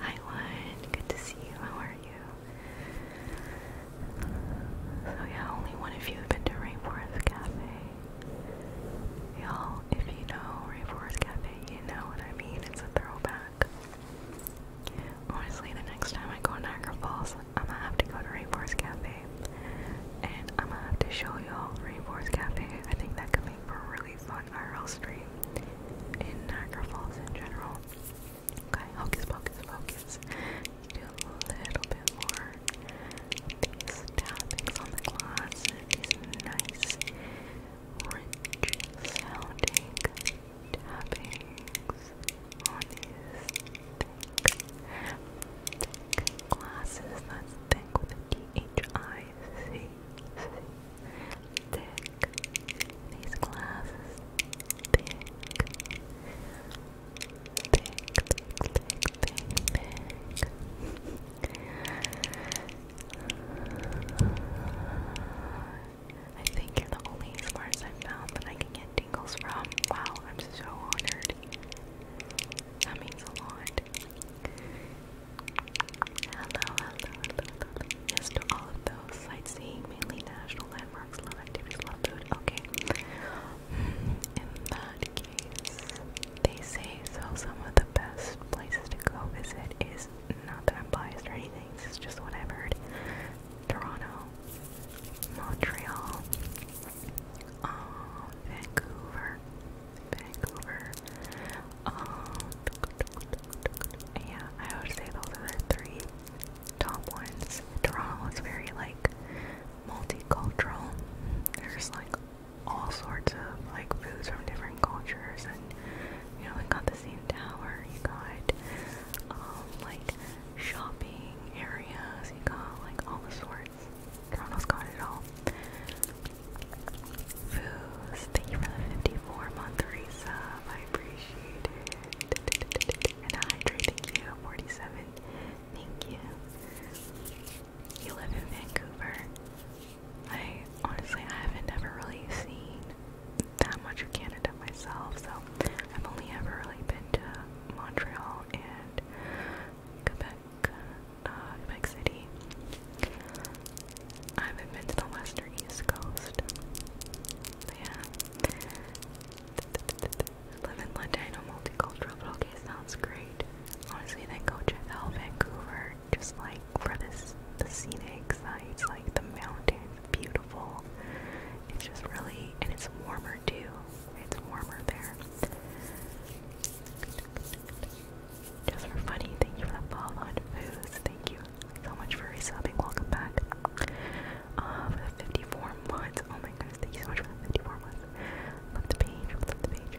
Hi, one. Good to see you. How are you? So oh, yeah, only one of you have been to Rainforest Cafe. Y'all, if you know Rayforest Cafe, you know what I mean. It's a throwback. Honestly, the next time I go to Niagara Falls, I'm gonna have to go to Rainforest Cafe. And I'm gonna have to show y'all Rainforest Cafe. I think that could make for a really fun IRL stream in Niagara Falls in general. Okay, hocus pocus focus. Do a little bit more these tappings on the glass. These nice rich sounding tappings on these thick, glasses. That's thick with Thick. These glasses. Thick, thick, thick, thick, thick. I think you're the only ASMRs I've found that I can get tingles from. Wow, I'm so honored. That means a lot. Hello, hello, hello, hello. Yes to all of those. Sightseeing, mainly national landmarks, love activities, love food. Okay. Hmm, in that case, they say so some of the best places to go visit is not that I'm biased or anything, this is just what I've heard. Toronto, Montreal, um, Vancouver, Vancouver, um, yeah, I would say those are the three top ones. Toronto is very like multicultural. There's like all sorts of like foods from different cultures and you know we got the same tower you got um, like shopping areas you got like all the sorts Toronto's got it all foods thank you for the 54 month I appreciate it and hydrate thank you 47 thank you you live in Vancouver I honestly I haven't ever really seen that much of Canada myself, so I've only ever really been to Montreal and Quebec, uh, Quebec City. I haven't been to the west or east coast. But yeah. Live in Latino multicultural, but okay, sounds great. Honestly, then go check out Vancouver. Just like for this the scenic sights, like the mountains, beautiful. It's just really and it's warmer too. It's warmer there. Just for funny, thank you for the follow on foods. Thank you so much for resubbing. Welcome back. Uh, for 54 months. Oh my goodness, thank you so much for 54 months. Love the page, love the page.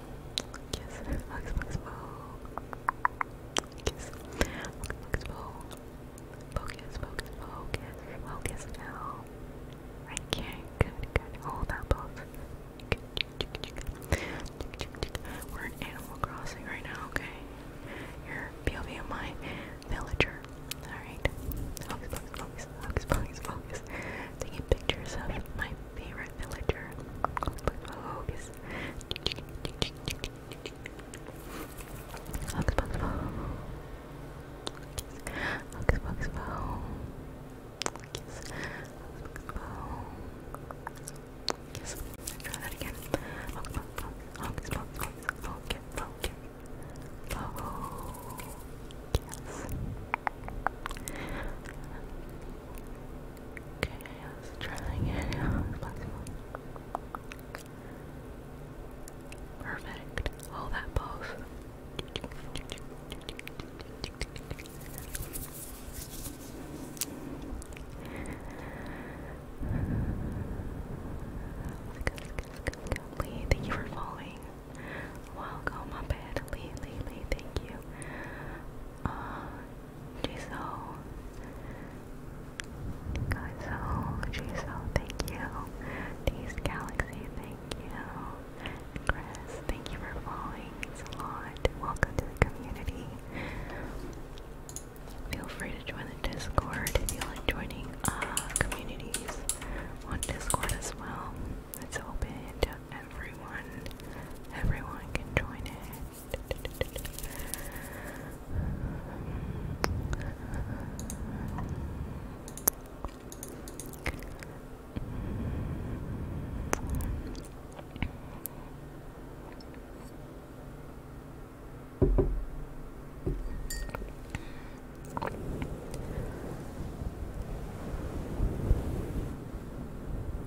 Kiss. Mux, mux, Kiss. Mux, Focus, focus, focus. Focus now. Right Good, good. Hold that pulse. We're Animal Crossing right now, okay? You're POV of my villager. Alright. Focus, focus, focus, focus, focus, focus. Taking pictures of my Favorite villager. Hocus. Hocus Pocus Bo. Hocus Pocus Bo. Hocus Pocus Bo. Yes, try that again. Hocus Pocus Pocus Pocus Pocus Pocus Yes. Okay, let's try that Perfect. Hold that pose. Lee, thank you for following. Welcome, my bad. Lee, thank you. 어, Jiso, Jiso, Jiso, thank you. These Galaxy, thank you. Chris, thank you for following. It's a lot. Welcome to the community. Feel free to join the Discord if you like joining uh, communities on Discord as well. It's open everyone, everyone can join it.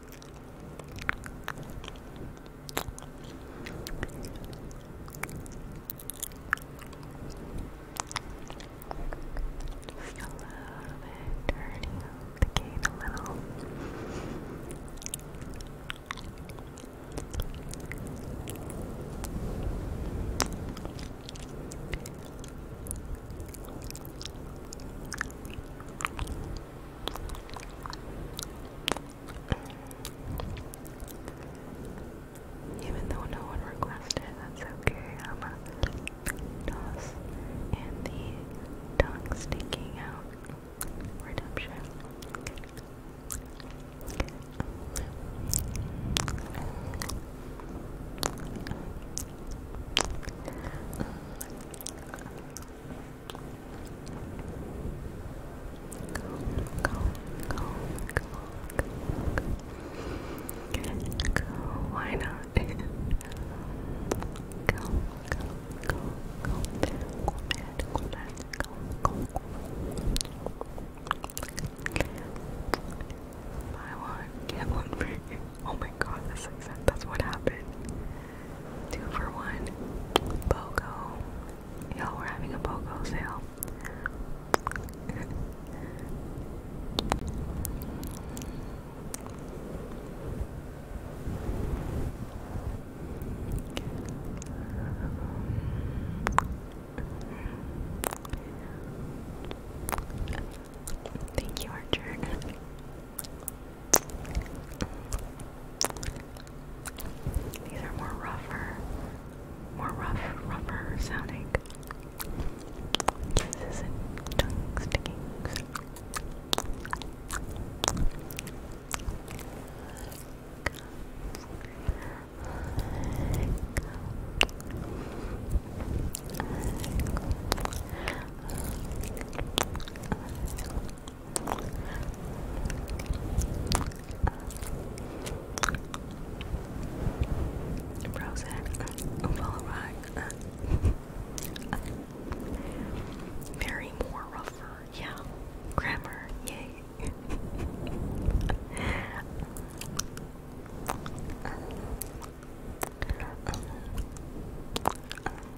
Just a little bit, turning up the game a little. Just even though no one requested, that's okay. I'm and the tongue sticking out redemption. Go, go, go, go, go, go. Why not? go, go, go, go. go, go, go. Buy one, get one free. Oh my god, that's like That's what happened. Two for one. BOGO. Y'all, we're having a sale. Thank you, Archer. These are more rougher, more rough, rougher sounding. This isn't tongue sticking. Frozen, follow rock. Very more rougher, yeah. Grammar, yay.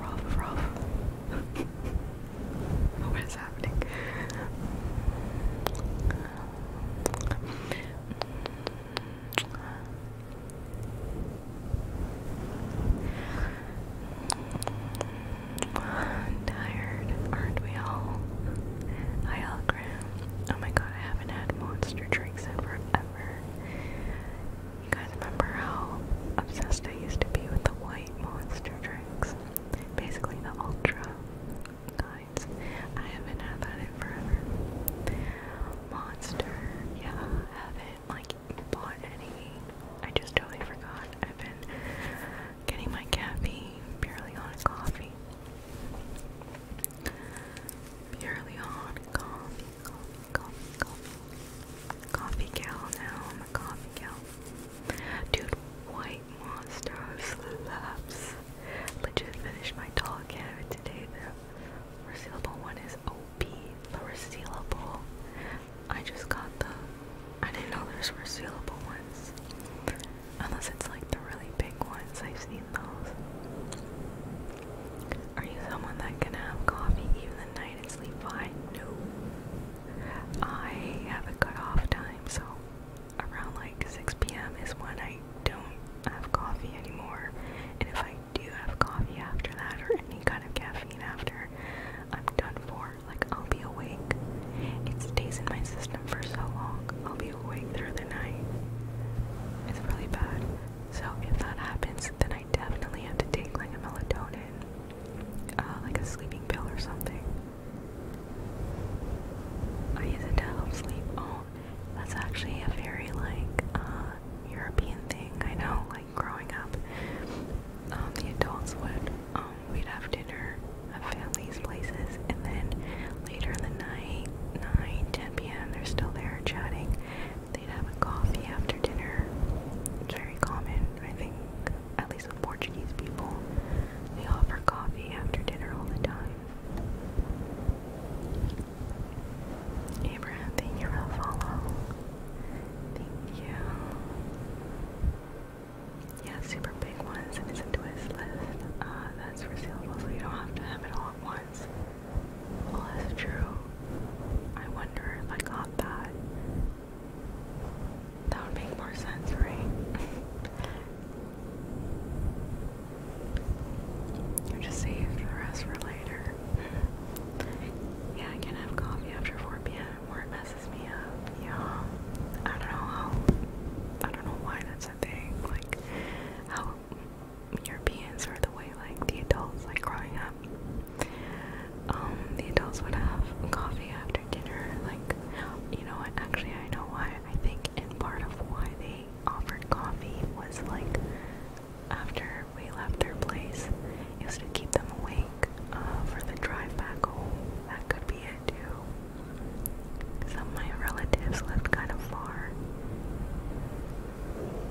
Rough, rough. what is happening? Tired, aren't we all? Hi, Algram. Oh my god, I haven't had monster drinks in forever. You guys remember how obsessed I used to be with the white monster drinks? Basically the ultra kinds. I haven't had that in forever. Monster, yeah, haven't like bought any. I just totally forgot. I've been getting my caffeine purely on coffee. Purely on coffee coffee, coffee, gal now, I'm coffee gal. Dude, white monster slaps. Legit finished my tall carrot today. The resealable one is OP. The resealable. I just got the I didn't know there's resealable ones. Unless it's like the really big ones. I've seen those. Are you someone that can have coffee even the night I sleep fine. No. I have a cutoff time, so around like 6 p.m. is when I don't have coffee anymore. And if I do have coffee after that or any kind of caffeine after, I'm done for. Like, I'll be awake. It stays in my system for so long. I'll be awake through the night. It's really bad. So, if that happens, then I definitely have to take like a melatonin uh, like a sleeping pill or something. I use it to help sleep. Oh, that's actually a very like uh, European thing. I know, like growing up, um, the adults would um, we'd have dinner at family's places, and then later in the night, 9, 10 p.m. They're still there chatting they have a coffee after dinner. It's very common, I think, at least with Portuguese people. They offer coffee after dinner all the time. Abraham, thank you for the Thank you. Yeah, super big ones, and it's a twist list. Uh, that's resealable, so you don't have to have it all at once. Well, that's true. I wonder if I got that that would make more sense, right? you just saved the rest for later. yeah, I can have coffee after 4 p.m. or it messes me up. Yeah. I don't know how I don't know why that's a thing. Like how Europeans are the way like the adults like growing up um, the adults would have coffee after dinner. Like, you know what? Actually, I know why. I think, and part of why they offered coffee was like after we left their place, it was to keep them awake uh, for the drive back home. That could be it too. Some of my relatives lived kind of far.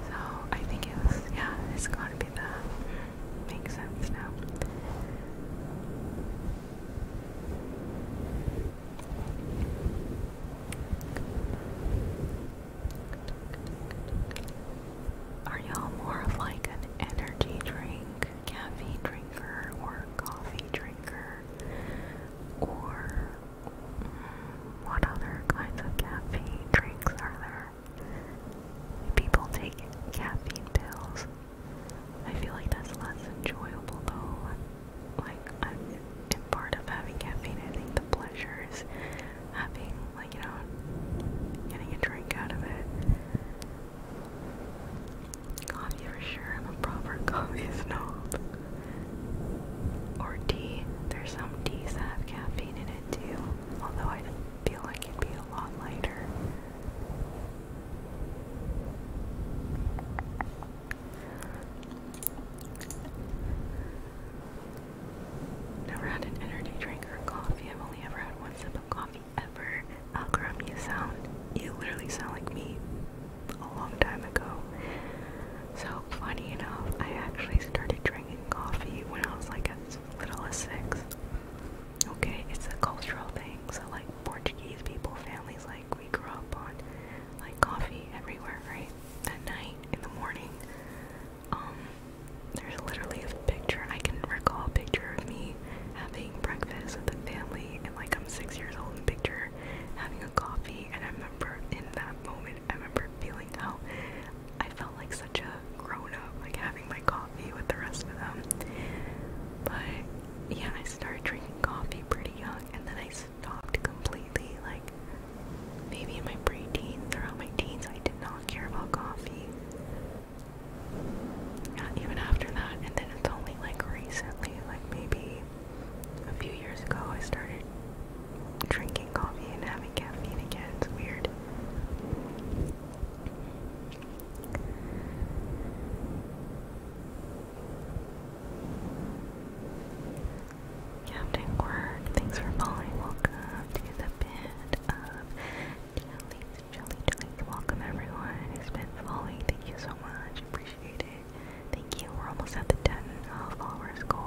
So I think it was, yeah, it's gotta be that. Makes sense now. Are y'all more of like an energy drink, caffeine drinker, or coffee drinker? Or mm, what other kinds of caffeine drinks are there? People take caffeine pills. I feel like that's less enjoyable though. Like, I'm part of having caffeine, I think the pleasure is having, like, you know, getting a drink out of it. Coffee for sure, I'm a proper coffee snob. Or tea. There's some teas that have caffeine in it too, although I feel like it'd be a lot lighter. Never had an energy drink or coffee. I've only ever had one sip of coffee ever. Algram, sound, you literally sound like me a long time ago. So funny enough, I actually started drinking coffee when I was like as little six. Okay, it's a cultural thing. So like Portuguese people, families like we grew up on like coffee everywhere, right? At night, in the morning. Um there's literally a picture I can recall a picture of me having breakfast with the family and like I'm six years old in the picture having a coffee and I remember in that moment I remember feeling how I felt like such a grown up, like having my coffee with the rest of them. But yeah, I started drinking coffee pretty young, and then I stopped completely. Like maybe in my pre-teens or throughout my teens, I did not care about coffee. Not even after that, and then it's only like recently, like maybe a few years ago, I started drinking coffee and having caffeine again. It's weird. Captain Quirk, thanks for following. Welcome to the bit of jellies, jelly, jellies. Welcome everyone who's been following. Thank you so much. Appreciate it. Thank you. We're almost at the 10 followers goal.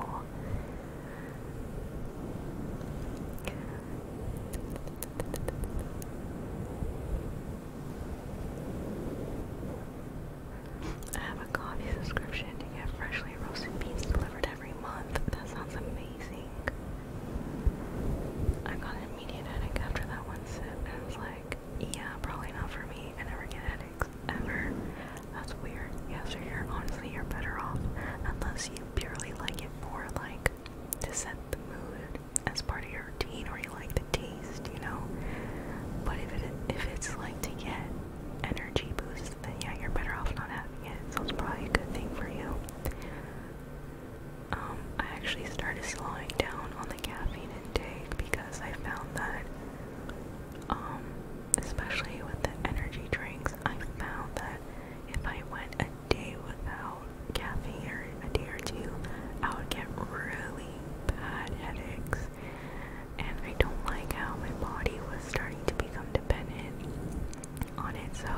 I have a coffee subscription to get freshly roasted beans delivered every month. That sounds amazing. I got an immediate headache after that one sip, and I was like, yeah, probably not for me. I never get headaches, ever. That's weird. Yes, so you're honestly, you're better off unless you purely like it for like to set the mood as part of your routine or you like the taste, you know. But if it if it's like to get energy boost, then yeah, you're better off not having it. So it's probably a good thing for you. Um, I actually started slowing down on the caffeine intake because I found that, um, especially with the energy drinks, I found that if I went day without caffeine or a day or two, I would get really bad headaches. And I don't like how my body was starting to become dependent on it. So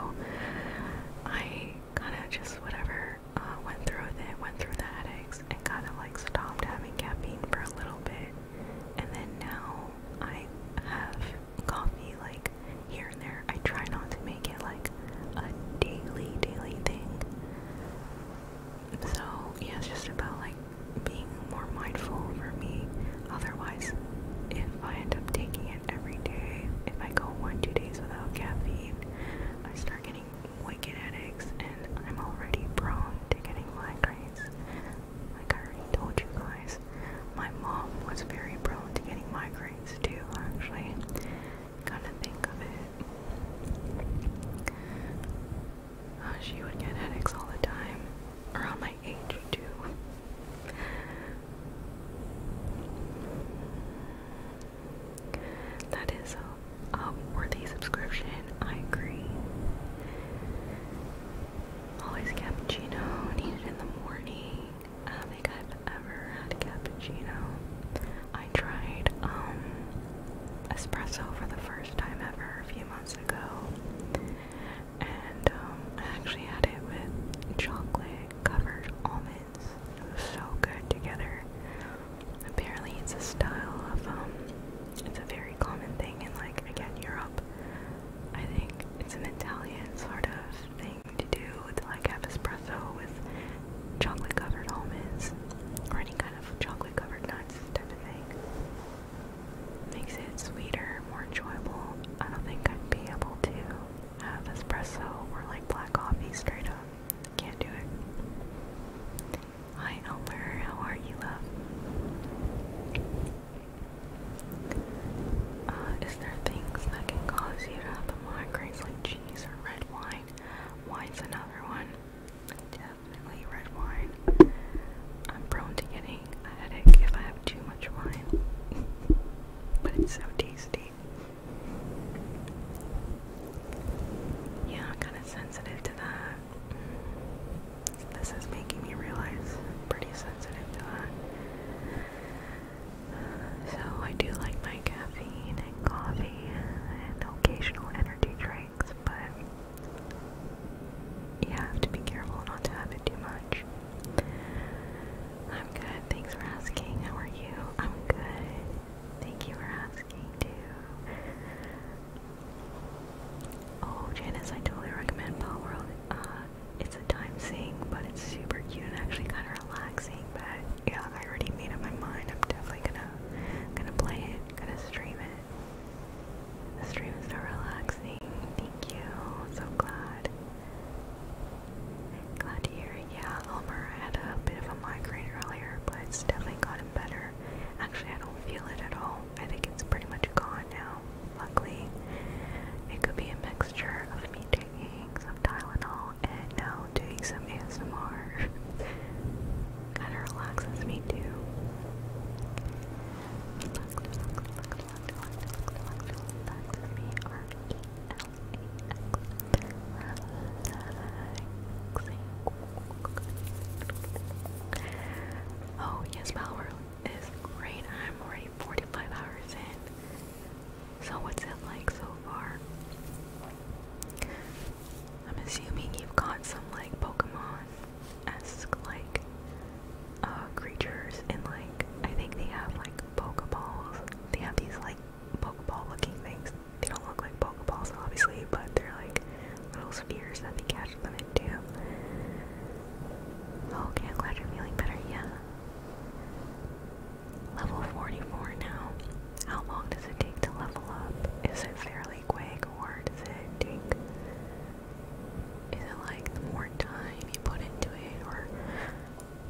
I kind of just, whatever, uh, went through with went through the headaches, and kind of like stopped having caffeine for a little bit. And then now I have coffee like here and there. I try not to make it like a daily, daily thing. So, yeah, it's just about like being more mindful for me. Otherwise, if I end up taking it every day, if I go one, two days without caffeine, I start getting wicked headaches and I'm already prone to getting migraines. Like I already told you guys, my mom was very prone to getting migraines phrase actually. Kind of think of it. Oh, she would get headaches all the time, around my age too. That is a, a worthy subscription, I agree. Always cappuccino, needed in the morning. I think I've ever had cappuccino. I tried um, espresso for the first time ever a few months ago. And um, I actually had it with chocolate covered almonds. It was so good together. Apparently it's a style of um it's a very common thing in like again Europe. I think it's an Italian sort of thing to do like have espresso with chocolate covered almonds or any kind of chocolate covered nuts type of thing. Makes it sweeter, more enjoyable. I don't think I'd be able to have espresso or like black coffee straight up. Can't do it. Hi Elmer, how are you, love? Uh, is there things that can cause you to have a like cheese or red wine. Wine's another one. Definitely red wine. I'm prone to getting a headache if I have too much wine. but it's so tasty. Yeah, I'm kind of sensitive to that. This is making me realize I'm pretty sensitive to that. So I do like my caffeine and coffee and occasional energy drinks, but you have to be careful not to have it too much. I'm good, thanks for asking. How are you? I'm good. Thank you for asking too. Oh, Janice, I totally recommend Palworld. World. Uh, it's a time sink, but it's super cute and actually kind of relaxing. But yeah, I already made up my mind. I'm definitely gonna gonna play it, gonna stream it. The stream is so relaxing. Thank you. So glad. Glad to hear it. Yeah, Elmer had a bit of a migraine earlier, but it's definitely gotten better. Actually, I don't feel it at all. I think it's pretty much gone now. Luckily, it could be a mixture of me taking box Tylenol and now doing some ASMR. Kinda relaxes me too. Oh yes, Power is great. I'm already 45 hours in. So, what's it like so far? I'm assuming you've got some like Pokemon as like uh, creatures, and like I think they have like Pokeballs. They have these like Pokeball looking things. They don't look like Pokeballs, obviously, but they're like little spheres that they catch them into. Oh, okay, glad you're feeling better, yeah level 44 now. How long does it take to level up? Is it fairly quick or does it take. Is it like the more time you put into it or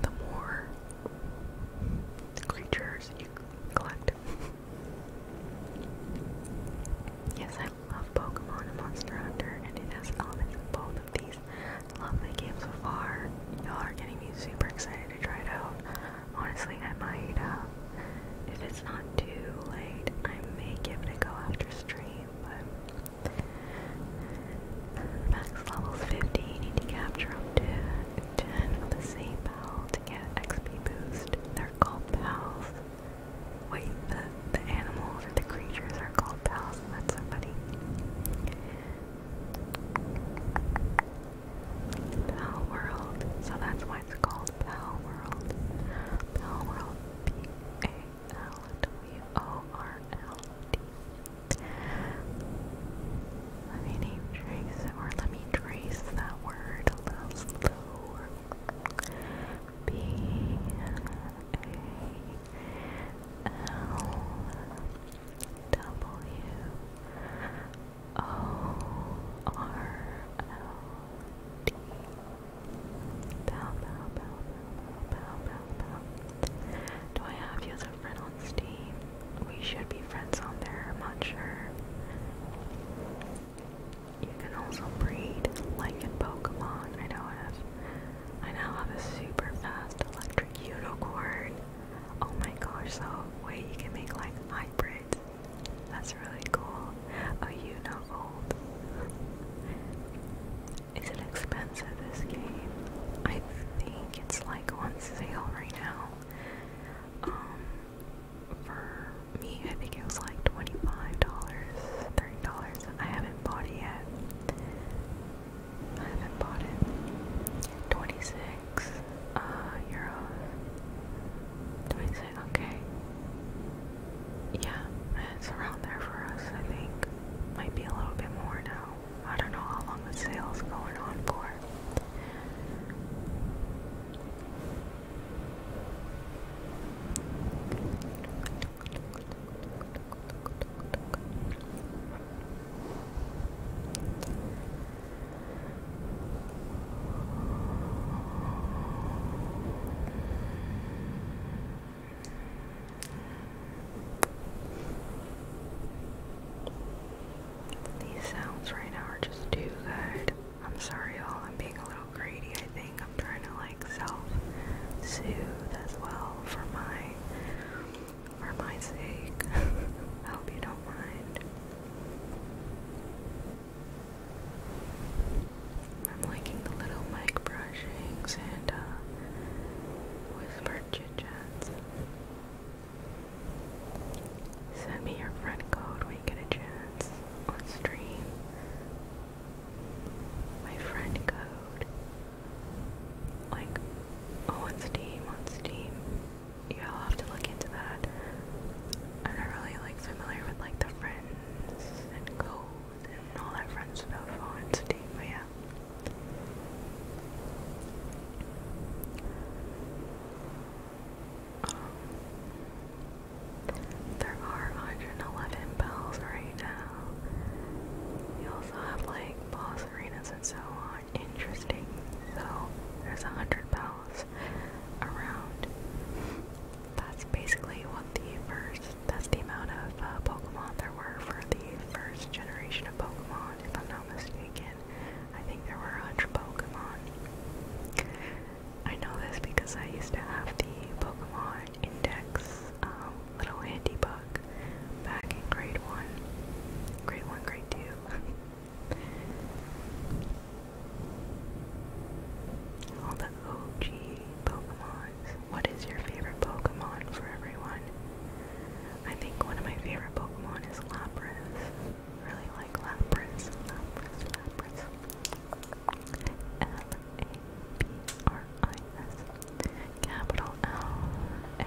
the more creatures you collect? yes, I love Pokemon and Monster Hunter, and it has elements of both of these. Lovely game so far. Y'all are getting me super excited to try it out. Honestly, I might, uh, if it's not too late, I may give it a go after stream, but max level's 50, need to capture up to 10 of the same pal to get XP boost. They're called pals. Wait, the, the animals or the creatures are called pals, that's so funny. Pal World. So that's why it's called Pal World. Pal World. P A L W O R L D. Let me name trace or let me trace that word a little slower. B A L W O R L D. Do I have you as a friend on Steam? We should be friends on there, not sure. You can also breed, like in Pokemon. I know I I now have a super fast electric unicorn. Oh my gosh, so wait, you can make like hybrids. That's really cool. Are oh, you not old? Is it expensive this game? I think it's like on sale right now. Um for me I think it was like $25, $30. I haven't bought it yet. I haven't bought it. 26 uh, euros. 26, okay. Yeah, it's around there for us, I think. Might be a little bit more now. I don't know how long the sale's going on for. These sounds right now are just too good. I'm sorry, y'all. I'm being a little greedy, I think. I'm trying to like self soothe as well for my for my sake. I hope you don't mind. I'm liking the little mic brushings and whispered chit chats. Send me your friend code when you get a chance on stream. My friend code. Like, oh, on Steam, on Steam you'll have to look into that. I'm not really like familiar with like the friends and code and all that friends stuff on Steam, but yeah. Um, there are 111 bells right now. You also have like boss arenas and so on interesting. So there's a hundred bells around. That's basically what the first, that's the amount of uh, Pokemon there were for the first generation of Pokemon, if I'm not mistaken. I think there were a hundred Pokemon. I know this because I used to have the Pokemon Index um, little handy book back in grade 1. Grade 1, grade 2. All the OG Pokemons. What is your favorite Pokemon for everyone? I think one of my favorite Pokemon is Lapras. Really like Lapras. Lapras, Lapras. L-A-P-R-I-S. Capital L-A.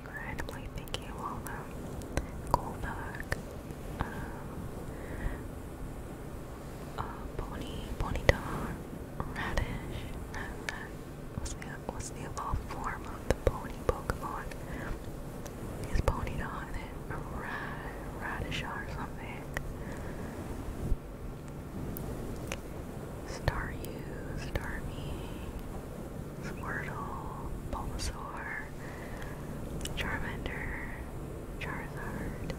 randomly thinking of all them. Pony, Ponyta, Radish, What's the, what's the evolved form of the pony Pokemon? Is Ponyta and then Rad, or something? Staryu, Starmie, Squirtle, Bulbasaur, Charmander, Charizard,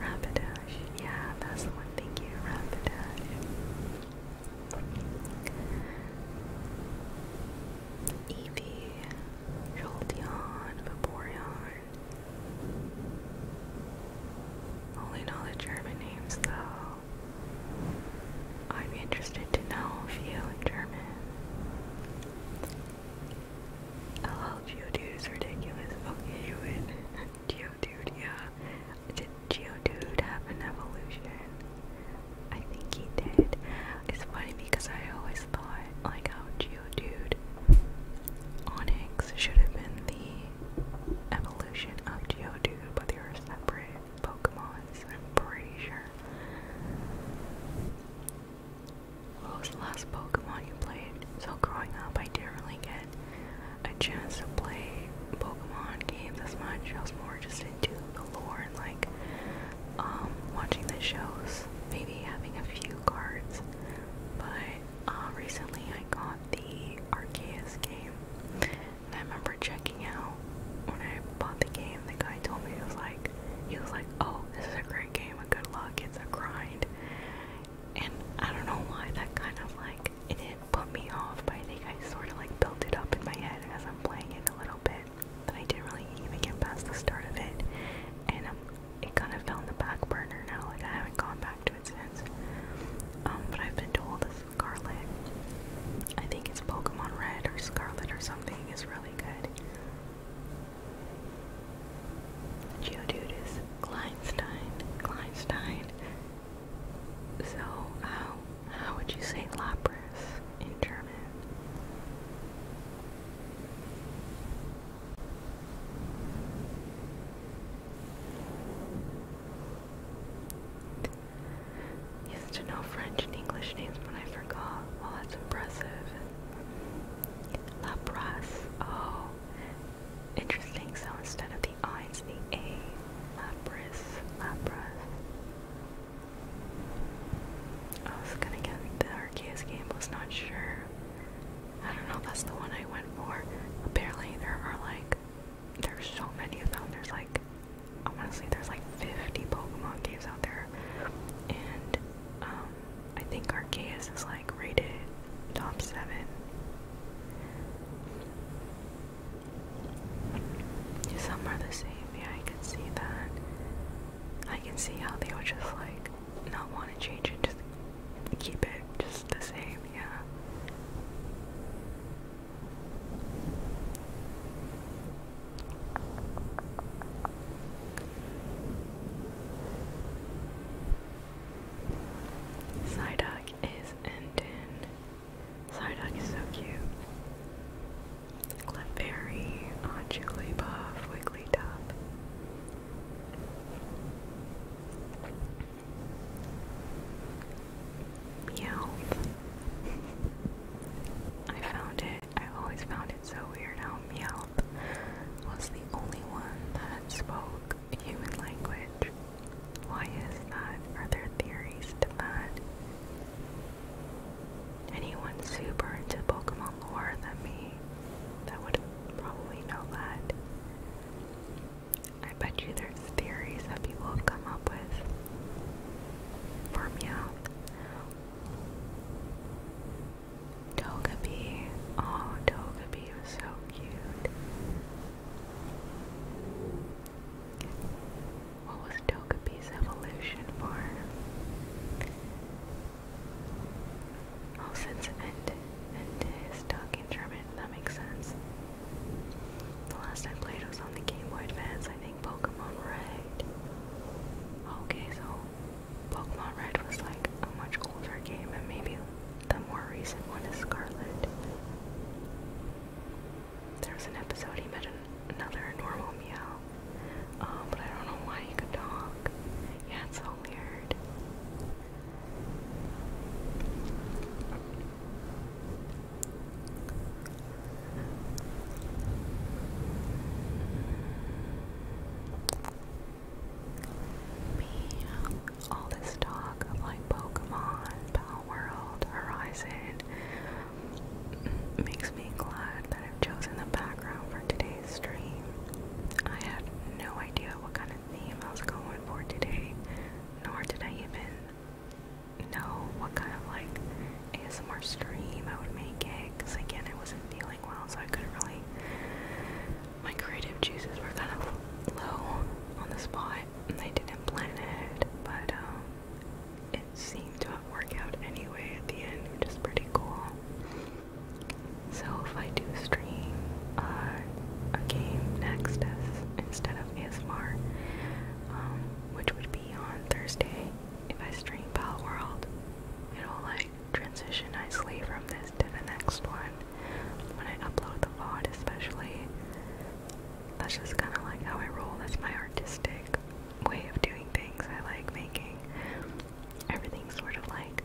Rapidash. Yeah, that's the one. Thank you, Rapidash. Eevee, Jolteon, Vaporeon. Only know the German names though. I'd be interested to know if you in German. LL oh, Geodude is ridiculous. Okay, you win. Geodude, yeah. Did Geodude have an evolution? I think he did. It's funny because I always thought, like, how Geodude Onyx should have been the evolution of Geodude, but they were separate Pokemons, I'm pretty sure. What was the last Pokemon you played? So growing up, I didn't really get a chance to play Pokemon games as much. I was more just into the lore and like um, watching the shows, maybe having a few cards. But uh, recently, I got the Arceus game, and I remember checking out when I bought the game. The guy told me it was like he was like, "Oh, this is a great game. And good luck. It's a grind." And I don't know why that kind of like it didn't put me off, but I think I sort of like built it up in my head as I'm playing it a little bit. But I didn't really even get past the start of it, and um, it kind of fell in the back burner now. Like I haven't gone back to it since. Um, but I've been told this Scarlet. I think it's Pokemon Red or Scarlet or something is really good. Geodude is Kleinstein. Kleinstein. So how uh, how would you say Lapras in German? Used to know French and English names, but I forgot. Well, that's impressive. Lapras. Oh, interesting. So instead of the I, the A. Lapras. Lapras. I was gonna get the Arceus game, was not sure. I don't know, that's the one I went for. Apparently, there are like, there's so many of them. There's like, honestly, there's like 50 Pokemon games out there. And um, I think Arceus is like rated top seven. Some are the same, yeah, I can see that. I can see how they would just like not want to change it, just keep it just the same, yeah. Psyduck is Endin. Psyduck is so cute. Clefairy, Jigglypuff, Wigglytuff. Meowth. I found it. I always found it so weird how Meowth was the only one that spoke human language. Why is that? Are there theories to that? Anyone super into Pokemon lore than me that would probably know that. I bet you there's theories that people have come up with for Meowth. Togepi. Oh, Togepi was so cute. What was Togepi's evolution for? Oh, since Ente, talking German, that makes sense. The last time played was on the Game Boy Advance, I think Pokemon Red. Okay, so Pokemon Red was like a much older game, and maybe the more recent one is Scarlet. There was an episode he met another normal Meow, um, but I don't know why he could talk. Yeah, it's so weird. Me, all this talk of like Pokemon, Palworld, Horizon makes me glad that I've chosen the background for today's stream. I had no idea what kind of theme I was going for today, nor did I even know what kind of like ASMR stream I would make it, because again I wasn't feeling well, so I couldn't really. My creative juices were kind of low on the spot, and I didn't plan it, but um, it seemed to work out anyway at the end, which is pretty cool. So if I do stream uh, a game next instead of ASMR, um, which would be on Thursday, if I stream Pal World, it'll like transition nicely from this to the next one when I upload the VOD, especially. That's just kind of like how I roll. That's my artistic way of doing things. I like making everything sort of like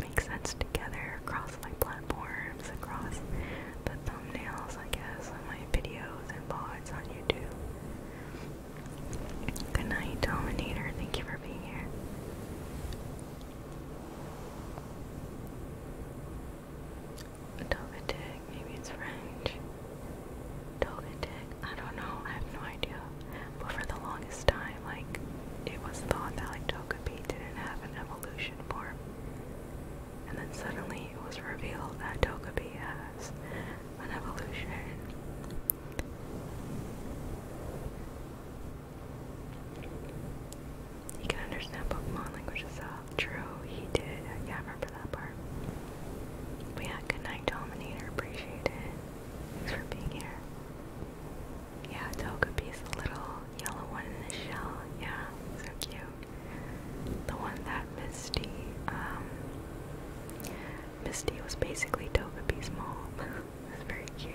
make sense together across my platforms, across the thumbnails, I guess, on my videos and VODs on YouTube. Good night, Dominator. Thank you for being here. Dogatig, maybe it's French. Dogatig, I don't know, I have no idea. But for the longest time, like, it was thought that, like, Togepi didn't have an evolution form. And then suddenly it was revealed that Togepi has an evolution. He can understand Pokemon language True, he did. Uh, yeah, I remember that part. But yeah, good night, Dominator. Appreciate it. Thanks for being here. Yeah, Togepi's a little yellow one in the shell. Yeah, so cute. The one that Misty, um, Misty was basically Togepi's mom. That's very cute.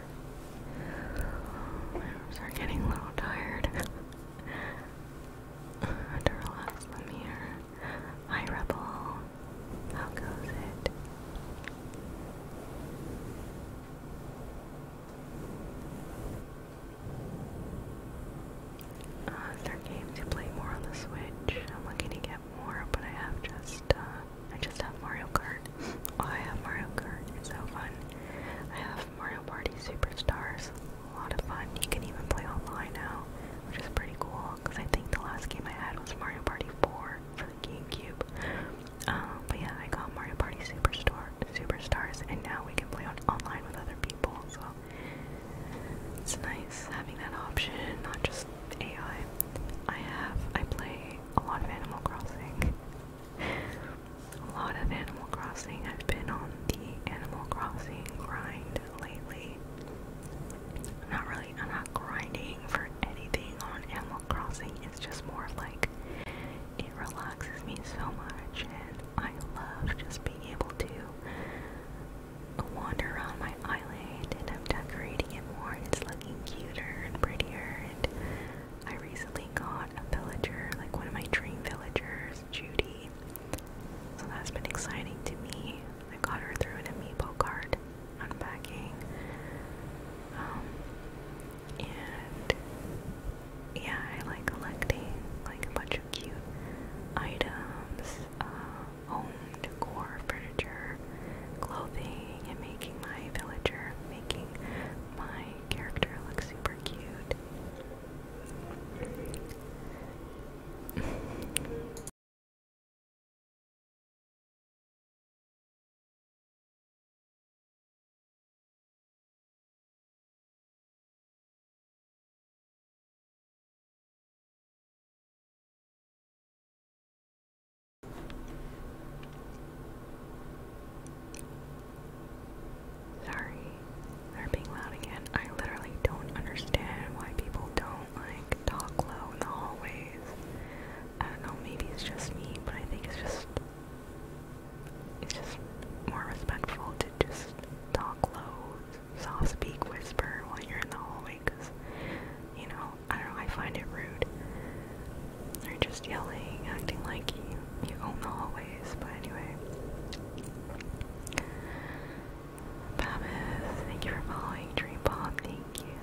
My arms are getting a little tired. to relax them here. Hi, Rebel. How goes it? Uh, is there games play more on the Switch? I'm looking to get more, but I have just, uh, I just have Mario Kart. Oh, I have Mario Kart. It's so fun. I have Mario Party Superstars. A lot of fun. You can even play online now, which is pretty cool because I think the last game I had was Mario Party 4 for the GameCube. Um, but yeah, I got Mario Party Superstore, Superstars, and now we can play on online with other people. So it's nice having that option, not just AI. I have I play a lot of Animal Crossing a lot of Animal Crossing. I've been on the Animal Crossing grind lately. I'm not really, I'm not grinding for anything on Animal Crossing. It's just more like it relaxes me so much, and I love just being able to wander around my island and I'm decorating it more and it's looking cuter and prettier and I recently got a villager, like one of my dream villagers, Judy. So that's been exciting to me. I got her through an amiibo card unpacking. Um, and yeah, I like collecting like a bunch of cute items, home uh, decor, furniture, clothing, and making my villager, making my character looks super cute. Sorry, they're being loud again. I literally don't understand why people don't like talk low in the hallways. I don't know, maybe it's just me, but I think it's just it's just more respectful to just talk low, soft speak, whisper while you're in the hallway, cause you know I don't know. I find it rude. They're just yelling, acting like you, you own the hallways, but anyway. Babbis, thank you for following. Dream thank you.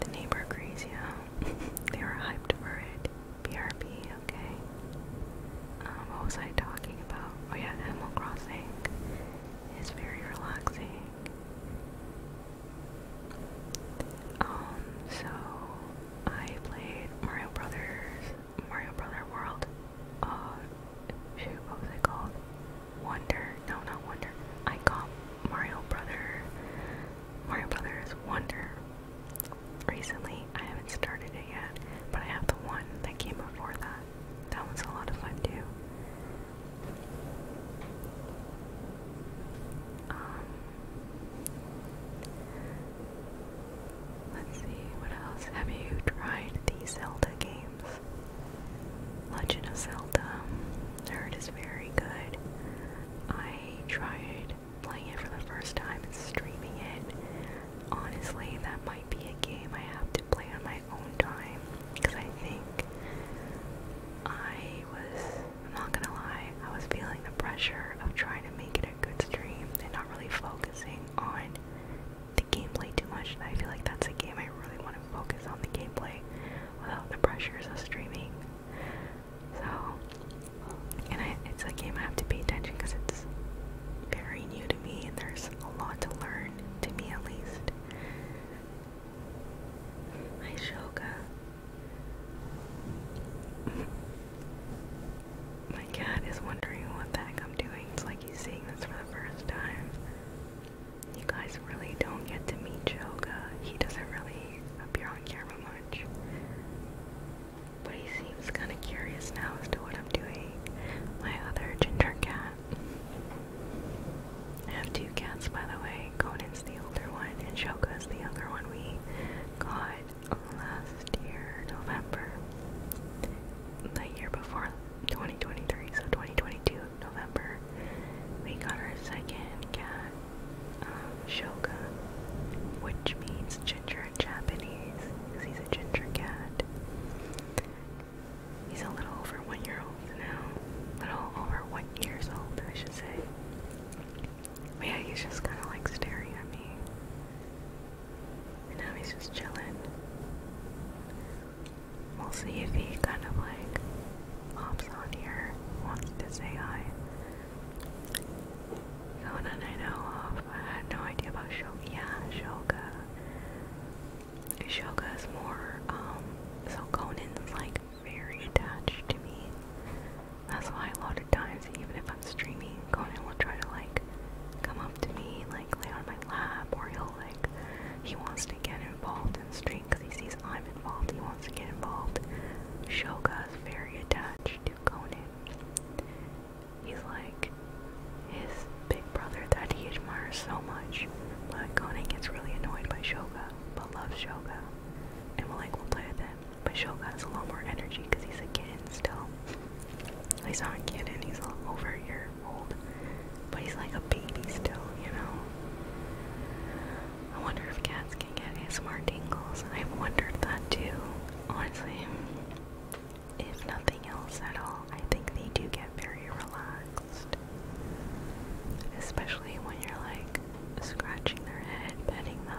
The neighbor agrees, yeah. they were hyped for it. BRB, okay. Um, what was I talking about? Oh yeah, Animal Crossing is very relaxing. Um, so I played Mario Brothers, Mario Brother World, uh, shoot, what was it called? Wonder, no, not Wonder, I got Mario Brother, Mario Brothers Wonder recently. I haven't started it yet, but I have the one that came before that. That one's a lot of fun too. Um, Let's see, what else? Have you tried the Zelda games? Legend of Zelda. Nerd is very good. I tried playing it for the first time and streaming it. Honestly, that might be a game I have to play on my own time because I think I was I'm not gonna lie, I was feeling the pressure of trying to make it a good stream and not really focusing on the gameplay too much. And I feel like that's a game I really want to focus on the gameplay without the pressures of streaming. So, and it's a game I have to pay attention because it's very new to me and there's a lot to learn, to me at least. Hi Shoga. My cat is wondering what the heck I'm doing. It's like he's seeing this for the first time. You guys really don't get to meet Joga. He doesn't really appear on camera much. But he seems kind of curious now as to what I'm doing. My other ginger cat. I have two cats, by the way, going Conan the older one and is the other one we got last year, November. The year before 2023, so 2022, November, we got our second cat, um, Shoka, which means ginger in Japanese, because he's a ginger cat. He's a little over one year old now, a little over one years old, I should say yeah, he's just kind of like staring at me. And now he's just chilling. We'll see if he kind of like hops on here, wants to say hi. Someone I know of, uh, I had no idea about Shoga. Yeah, Shoga. Shoga is more, um, so Conan's like very attached to me. That's why a lot of times, even if I'm streaming, Conan will try to like come up to me, like lay on my lap, or he'll like he wants to get involved in stream because he sees I'm involved. He wants to get involved. Shoga is very attached to Conan. He's like his big brother that he admires so much. But Conan gets really annoyed by Shoga, but loves Shoga, and will like will play with him. But Shoga has a lot more energy because he's a kitten still. He's not a kid and he's over a year old. But he's like a baby still, you know? I wonder if cats can get ASMR tingles. I've wondered that too. Honestly, if nothing else at all, I think they do get very relaxed. Especially when you're like scratching their head, petting them.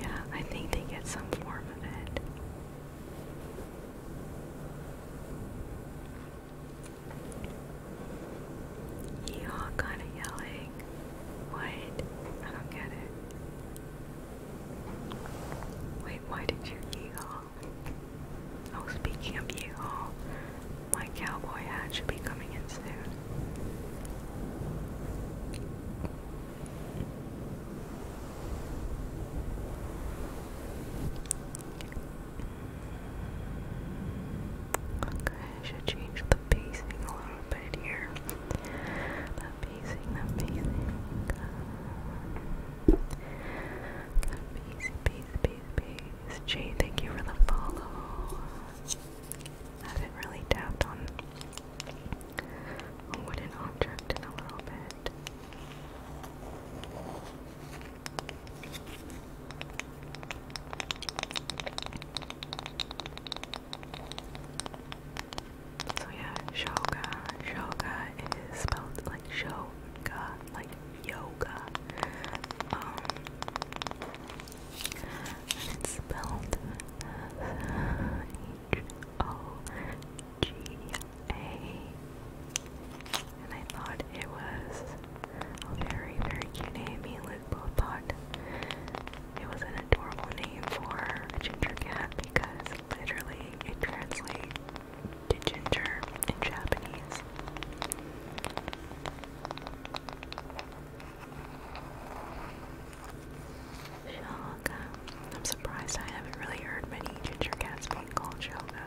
Yeah, I think they get some form of it. You kind of yelling. What? I don't get it. Wait, why did you eagle? Oh, speaking of eagle, my cowboy hat should be coming in soon. Okay, I should change the pacing a little bit here. The pacing, the pacing. the pacing, pacing, pacing, pacing. Jay, thank you for the follow. I haven't really tapped on a wooden object in a little bit. So yeah, shoga. Shoga is spelled like shoga, like yoga. Um, and it's spelled H O G A. And I thought it was a very, very cute name. Me and Luke both thought it was an adorable name for a ginger cat because literally it translates to ginger in Japanese. Shelga. I'm surprised I haven't really heard many ginger cats being called Shelga.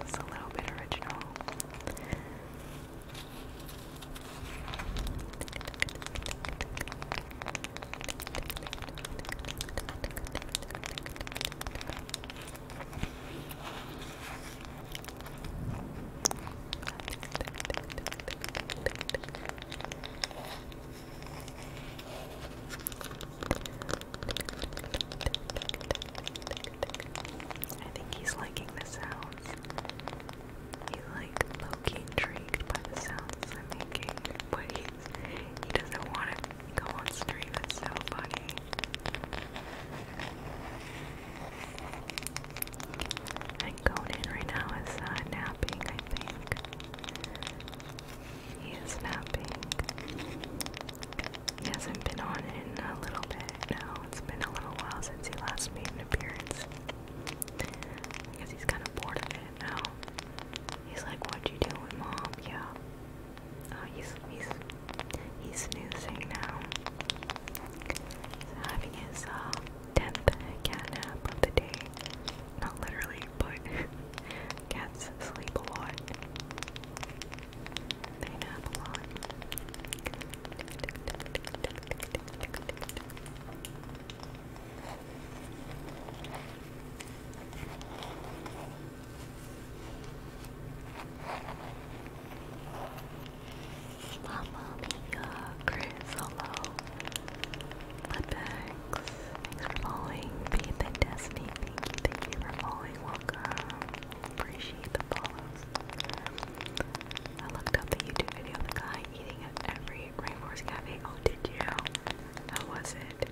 This a little bit original. I think he's liking the sounds. He's like low intrigued by the sounds I'm making, but he's, he doesn't want to go on stream. It's so funny. And Conan right now is uh, napping, I think. He is napping. He hasn't been on in a little bit now. It's been a little while since he last made an appearance. I guess he's kind of bored of it now. He's like, "What you doing, mom?" Yeah. Oh, he's he's he's snoozing now. So having his um, 10th cat nap of the day, not literally, but cats sleep a They nap a lot. Mamma Mia, Chris, thanks for following. thank you, for following. Welcome. Appreciate the follows. I looked up the YouTube video of the guy eating at every Rainforest Cafe. Oh, did you? How was it?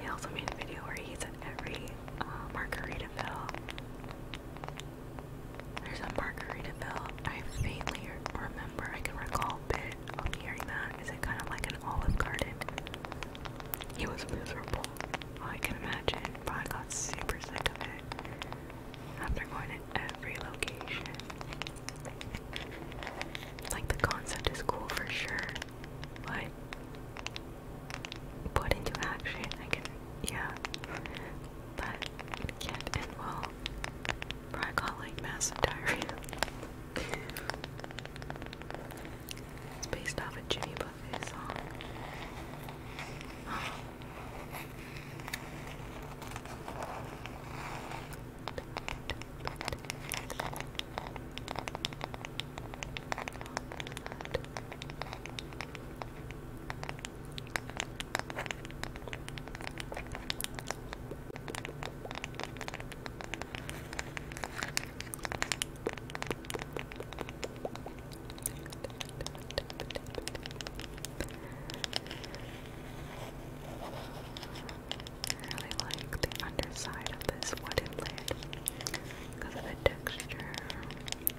He also made a video where he at every uh, Margaritaville. There's a Margaritaville. I faintly remember, I can recall a bit of hearing that. Is it kind of like an olive garden? He was miserable. I can imagine, but I got super sick of it after going to every location. Like, the concept is cool for sure, but put into action, I can, yeah but can't and will probably call massive diarrhea. it's based off a Jimmy Buffett song. I really like the underside of this wooden lid because of the texture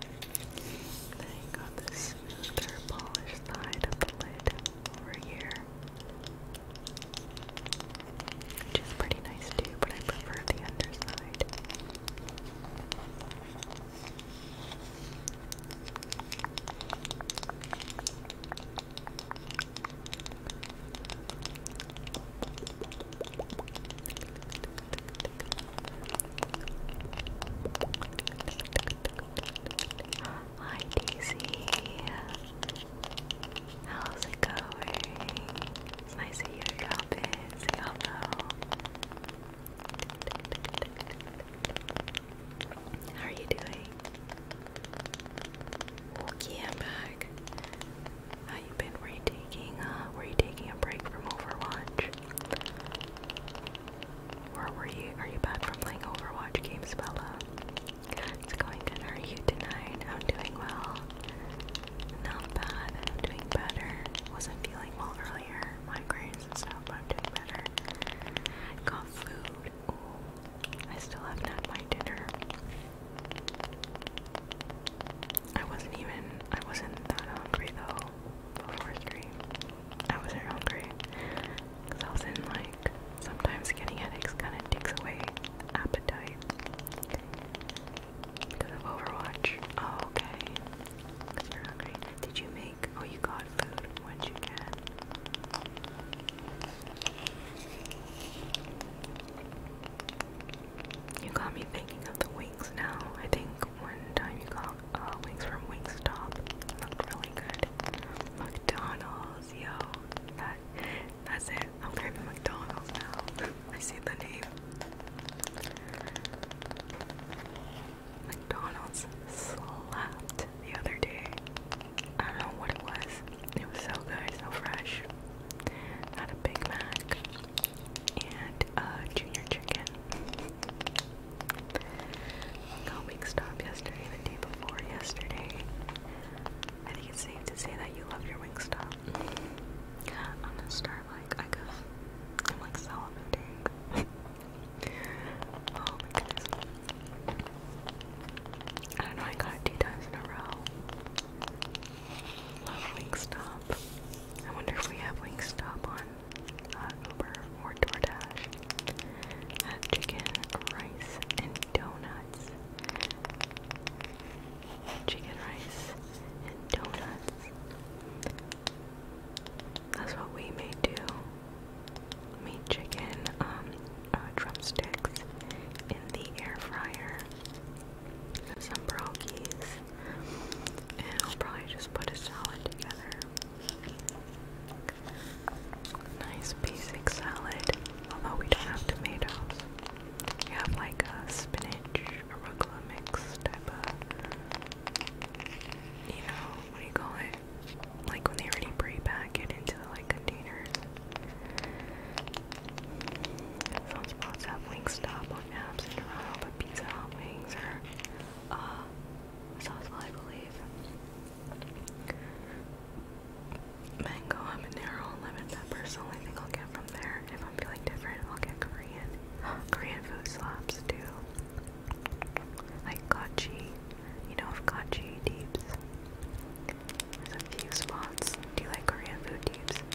then on this other polished side of the lid over here. Which is pretty nice too, but I prefer the underside. Hi Daisy. How's it going? nice that you're dropping. how are you doing? Okay, I'm back. How you been? Were you taking uh were you taking a break from Overwatch? Or were you are you back from playing Overwatch games, Bella? It's going good. are you tonight? I'm doing well. Not bad. doing better. Wasn't feeling well earlier, migraines and stuff, but I'm doing better. Got food. I still haven't had my dinner. I wasn't even I wasn't that hungry though before stream. I wasn't hungry. Because I was in like, sometimes getting headaches kind of takes away appetite. Because of Overwatch. Oh, okay. Because you're hungry. Did you make, oh, you got food. What'd you get? You got me thinking of the wings now. I think one time you got uh, wings from Wingstop. It looked really good. McDonald's, yo. That, that's it. I'm craving McDonald's now. I see the name. McDonald's slapped the other day. I don't know what it was. It was so good, so fresh. Had a Big Mac and uh, Junior Chicken. Got Wingstop yesterday, the day before yesterday. I think it's safe to say that you love your Wingstop. I'm gonna start like I could. like salivating. Oh I don't know, I got two times in a row. Love Wingstop. I wonder if we have stop on Uber or DoorDash. Had chicken, rice, and donuts. Chicken, rice, and donuts. That's what we may do. Meat chicken, um, uh, drumsticks in the air fryer. Some brockies. And I'll probably just put a salad together. Nice basic salad, although we don't have tomatoes. We have like a spinach arugula mix type of, you know, what do you call it? Like when they already pre-pack it into like containers. Some spots have Wingstop on apps and Toronto, but Pizza Hot Wings are uh, Southwell, I believe. Mango, habanero, lemon pepper's the only thing I'll get from there. If I'm feeling different, I'll get Korean. Korean food slaps too. Like Kachi. You know of Kachi deeps. a few spots. Do you like Korean food deeps?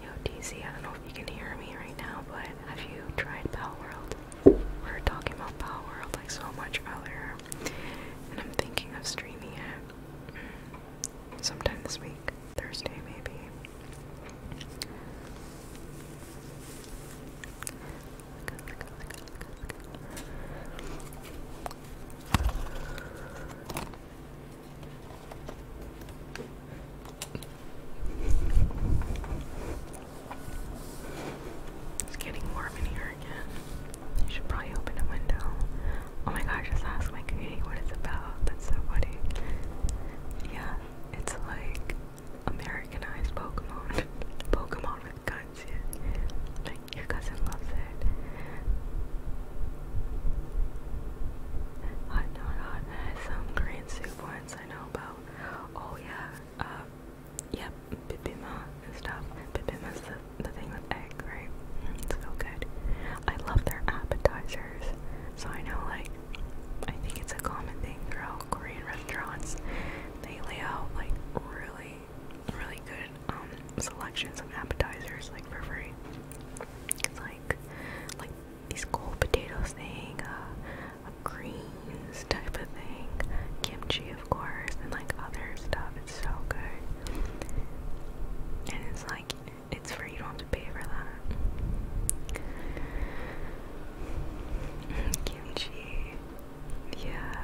Yo, DC, I don't know if you can hear me right now, but have you tried Power World? We were talking about Power World like so much earlier, and I'm thinking of streaming it mm, sometime this week, Thursday maybe. It's getting warm in here there again. should probably open a window. Oh my god, just ask my community what it's about. That's so funny. Yeah, it's like Americanized Pokemon. Pokemon with guns, yeah. Like, your cousin loves it. Hot, not some green soup once I know about. Oh yeah, uh, Yep, bibimbap and stuff. Bibima's the, the thing with egg, right? Mm, it's so good. I love their appetizers. So I know, like, I think it's a common thing throughout Korean restaurants. They lay out, like, really, really good um, selections of appetizers, like, for free. It's like, like, these cold potatoes thing, uh, greens type of thing, kimchi, of course, and like other stuff. It's so good. And it's like, it's for you don't to pay for that. Mm, kimchi. Yeah.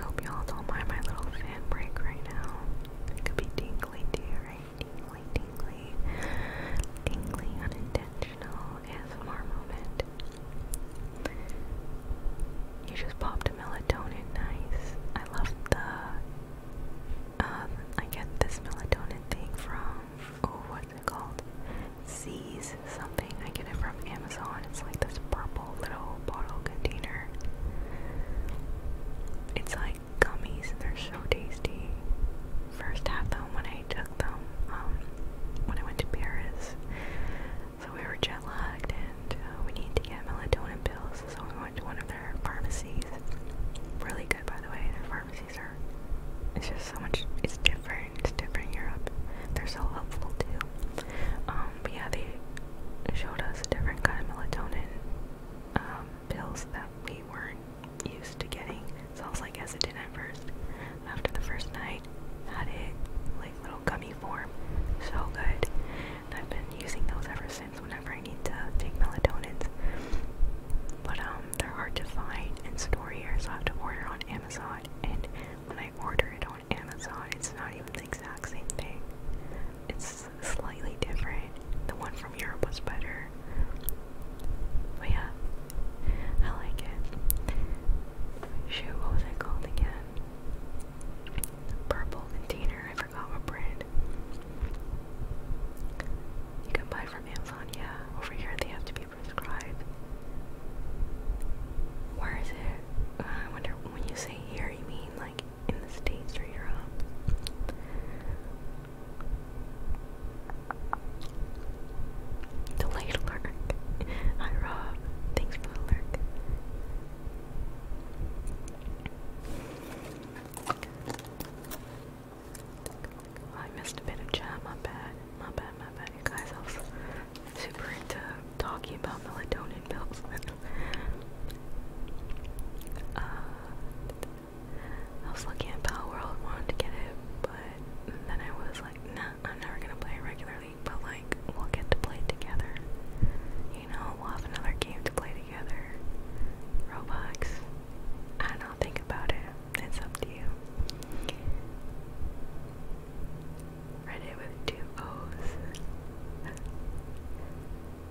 hope y'all don't mind my little fan break right now. It could be tingly to right very tingly, tingly, tingly, unintentional ASMR moment. You just popped a melatonin, nice. I love the, um, I get this melatonin thing from, oh, what's it called? Z's something. I get it from Amazon. It's like this purple little bottle container. It's like like gummies. They're so tasty. First had them when I took them um, when I went to Paris. So we were jet lagged and uh, we need to get melatonin pills. So we went to one of their pharmacies. Really good, by the way. Their pharmacies are. It's just so much. It's different. It's different in Europe. They're so helpful too. Um, but yeah, they showed us a different kind of melatonin um, pills that we weren't used to getting, so I was like hesitant at first. After the first night, had it like little gummy form, so good. And I've been using those ever since whenever I need to take melatonin. But um, they're hard to find and store here, so I have to order on Amazon. And when I order it on Amazon, it's not even the exact same thing. It's slightly different. The one Europe was better. But yeah, I like it. Shoot, what was it called again? Purple container, I forgot what brand. You can buy from Amazon, yeah. Over here they have to be prescribed. Where is it? Uh, I wonder when you say here, you mean like in the States or Europe? Delayed lurk. Hi Rob. Thanks for the lurk. Well, oh, I missed a bit of chat, my bad. My bad, my bad. guys, I super into talking about melatonin pills. Uh, I was looking at Battle World, wanted to get it, but then I was like, nah, I'm never gonna play it regularly, but like, we'll get to play together. You know, we'll have another game to play together. Roblox. I don't think about it. It's up to you. Reddit with two O's.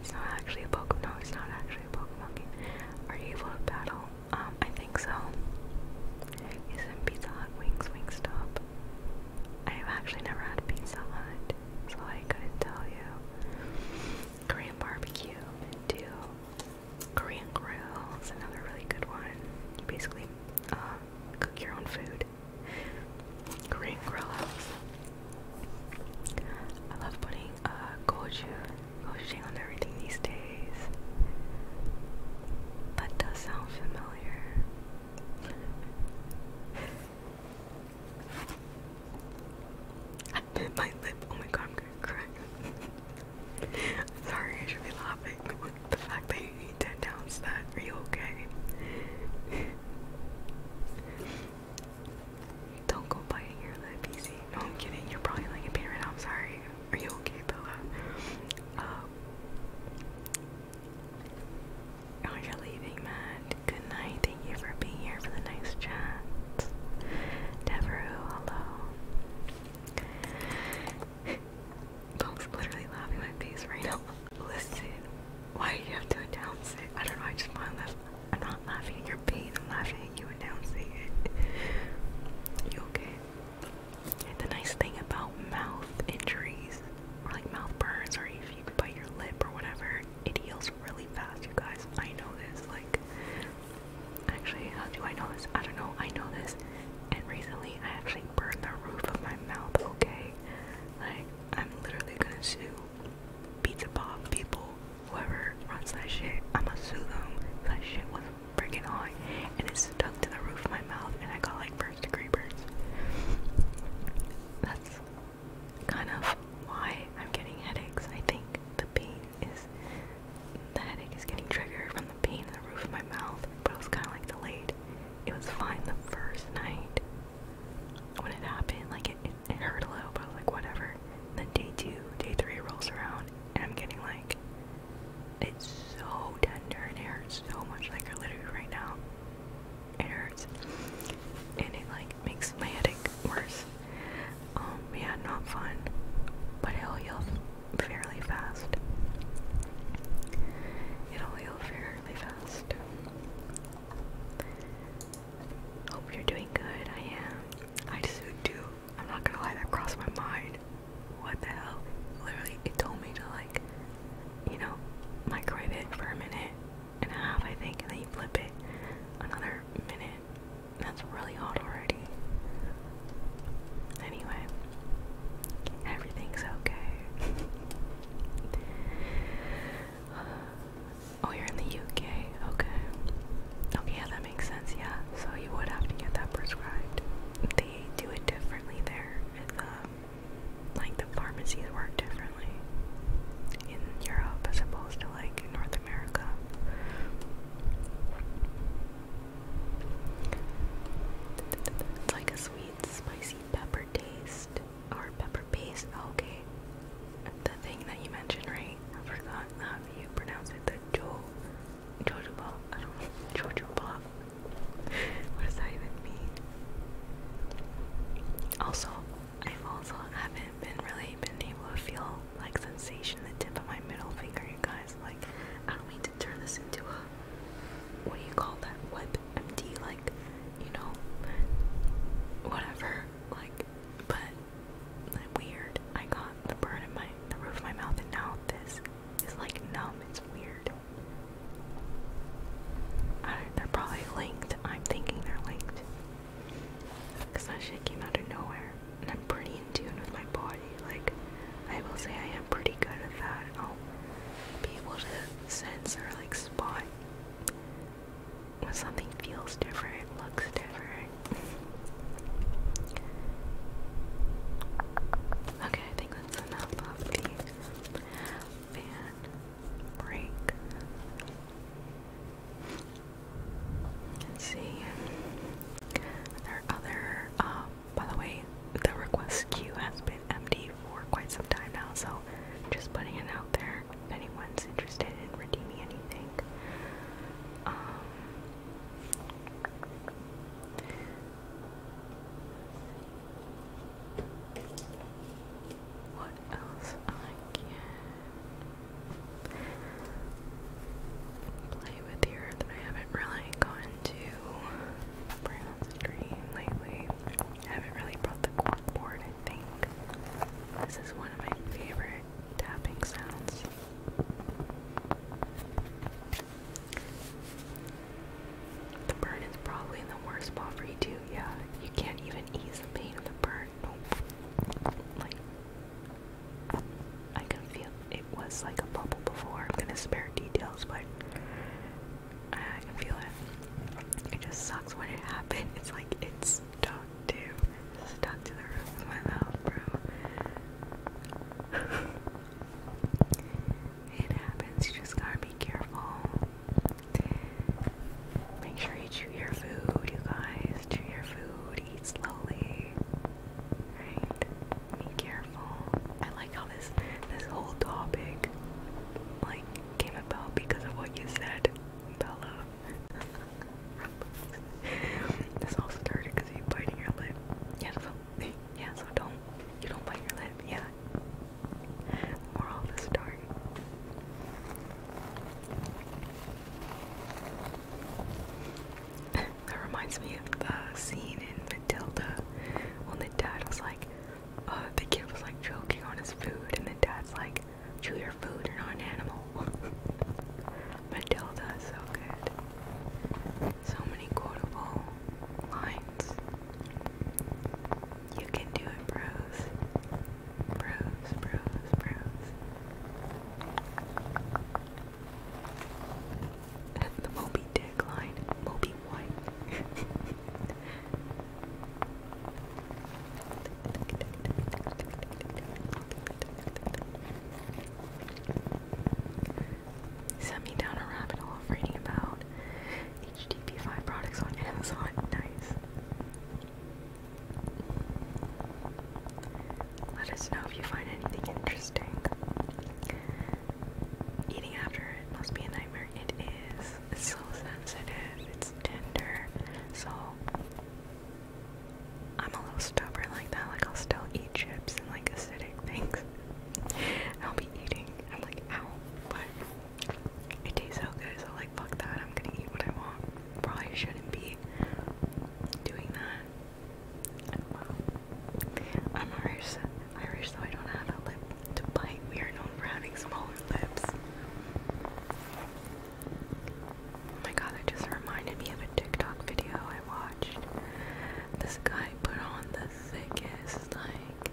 It's not actually a Pokemon. No, it's not actually a Pokemon Are you able to battle um, I think so. Isn't Pizza Hut Wings Wingstop? I have actually never had Pizza so I couldn't tell you. Korean barbecue, too. Korean grill is another really good one. You basically um, cook your own food. Korean grill I love putting uh, pushing on everything these days. That does sound familiar. I bit my lip. Oh my god, I'm gonna cry. Sorry, I should laughing. The fact that you need that, are you okay? Don't go biting your lip easy. No, I'm kidding. You're probably like a parent. I'm sorry. Are you okay, Bella? Uh, oh, you're leaving, Matt. Good night. Thank you for being here for the nice chat. Devereaux, hello. Bob's literally laughing my face right now. Listen, why do you have to announce it? I don't know. I just find that I'm not laughing pain. I'm laughing at you announcing it. You okay? The nice thing about mouth injuries, like mouth burns, or if you bite your lip or whatever, it heals really fast, you guys. I know this. Like, actually, how do I know this? I don't know. I know this. And recently, I actually burned the roof of my mouth, okay? Like, I'm literally gonna sue Pizza Bob people, whoever runs that shit. I'ma sue them. That shit was freaking hot, and it stuck to the roof of my mouth, and I got like first degree burns. That's kind of why I'm getting headaches. I think the pain is the headache is getting triggered from the pain in the roof of my mouth, but it was kind of like delayed. It was fine the first night when it happened, like it, it, hurt a little, but like whatever. then day two, day three rolls around, and I'm getting like it's so tender and it hurts so much, like I literally right now. It hurts. And it like makes my headache worse. Um, yeah, not fun. But it'll heal fairly fast. It'll heal fairly fast. Hope you're doing good. I am. I just do. I'm not gonna lie, that crossed my mind what the hell? Literally, it told me to like, you know, microwave it for a minute and a half, I think, and then you flip it another minute. That's really hot already. Anyway, everything's okay. oh, you're in the UK. Okay. Okay, yeah, that that makes sense, yeah. So you would have to get that prescribed. They do it differently there. The, like the pharmacies work differently in Europe as opposed to like North America. It's like a sweet, spicy pepper taste or pepper paste. Oh, okay, the thing that you mentioned, right? I forgot how you pronounce it. The jo, Jojo Ball. I don't know. Jojo Ball. What does that even mean? Also, I've also haven't been really been able to feel like sensation the tip of my middle finger, you guys. Like, I don't mean to turn this into a what do you call that? Web MD, like, you know, whatever. Like, but like, weird. I got the bird in my the roof of my mouth, and now about this is like numb. It's weird. I they're probably linked. I'm thinking they're linked. Because that shit came out of nowhere. And I'm pretty in tune with my body. Like, I will say I am pretty good at that. I'll be able to sense or, like, spot when something feels different, looks different, Okay, I think that's enough of the fan break. Let's see. There other, uh, by the way, the request queue has been empty for quite some time now, so just putting it out there anyone's interested in redeeming anything. Um, what else I can play with here that I haven't really gone to Brown lately. haven't really brought the cork I think. This is one of my favorite tapping sounds. The burn is probably the worst spot for you too. Yeah, you can't even ease the pain of the burn. Like I can feel it was like a bubble before. I'm gonna spare details, but I can feel it. It just sucks when it happened. It's like it's stuck to stuck to the roof of my mouth, bro. It happens, you just gotta be careful. Make sure you chew your food, you guys. Chew your food, eat slowly. Right? Be careful. I like how this this whole topic like came about because of what you said, Bella. this all started because you biting your lip. Yeah, yeah, so don't you don't bite your lip, yeah. Moral of the that reminds me of the scene in Matilda when the dad was like, uh, the kid was like choking on his food, and the dad's like, chew your food, you're not an animal. Matilda is so good. So many quotable lines. You can do it, bros. Bros, bros, bros. the Moby Dick line. Moby White. sent me down a rabbit hole reading about HTP5 products on Amazon. Nice. Let us know if you find anything interesting. Eating after it must be a nightmare. It is. It's so sensitive. It's tender. So I'm a little stubborn like that. Like I'll still eat chips and like acidic things. I'll be eating. I'm like, ow, but it tastes so good, so like, fuck that. I'm gonna eat what I want. Probably shouldn't be doing that. I'm Irish, Irish, so I don't have a lip to bite. We are known for having smaller lips. Oh my god, that just reminded me of a TikTok video I watched. This guy put on the thickest, like,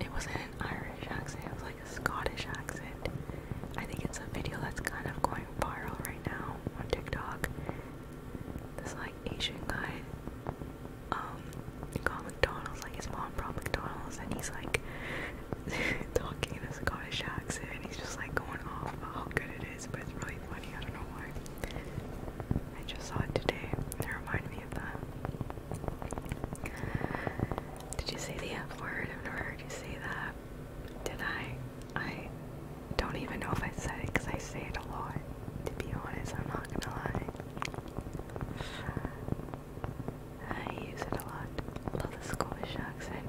it wasn't an Irish accent, it was like a Scottish accent. I think it's a video that's kind of going viral right now on TikTok. This, like, Asian guy, um, got McDonald's, like, his mom brought McDonald's, and he's like, talking in a Scottish accent, and he's just like going off how good it is, but it's really funny. I don't know why. I just saw it today. It reminded me of that. Did you say the F word? I've never heard you say that. Did I? I don't even know if I said it because I say it a lot. To be honest, I'm not gonna lie. I use it a lot. Love the Scottish accent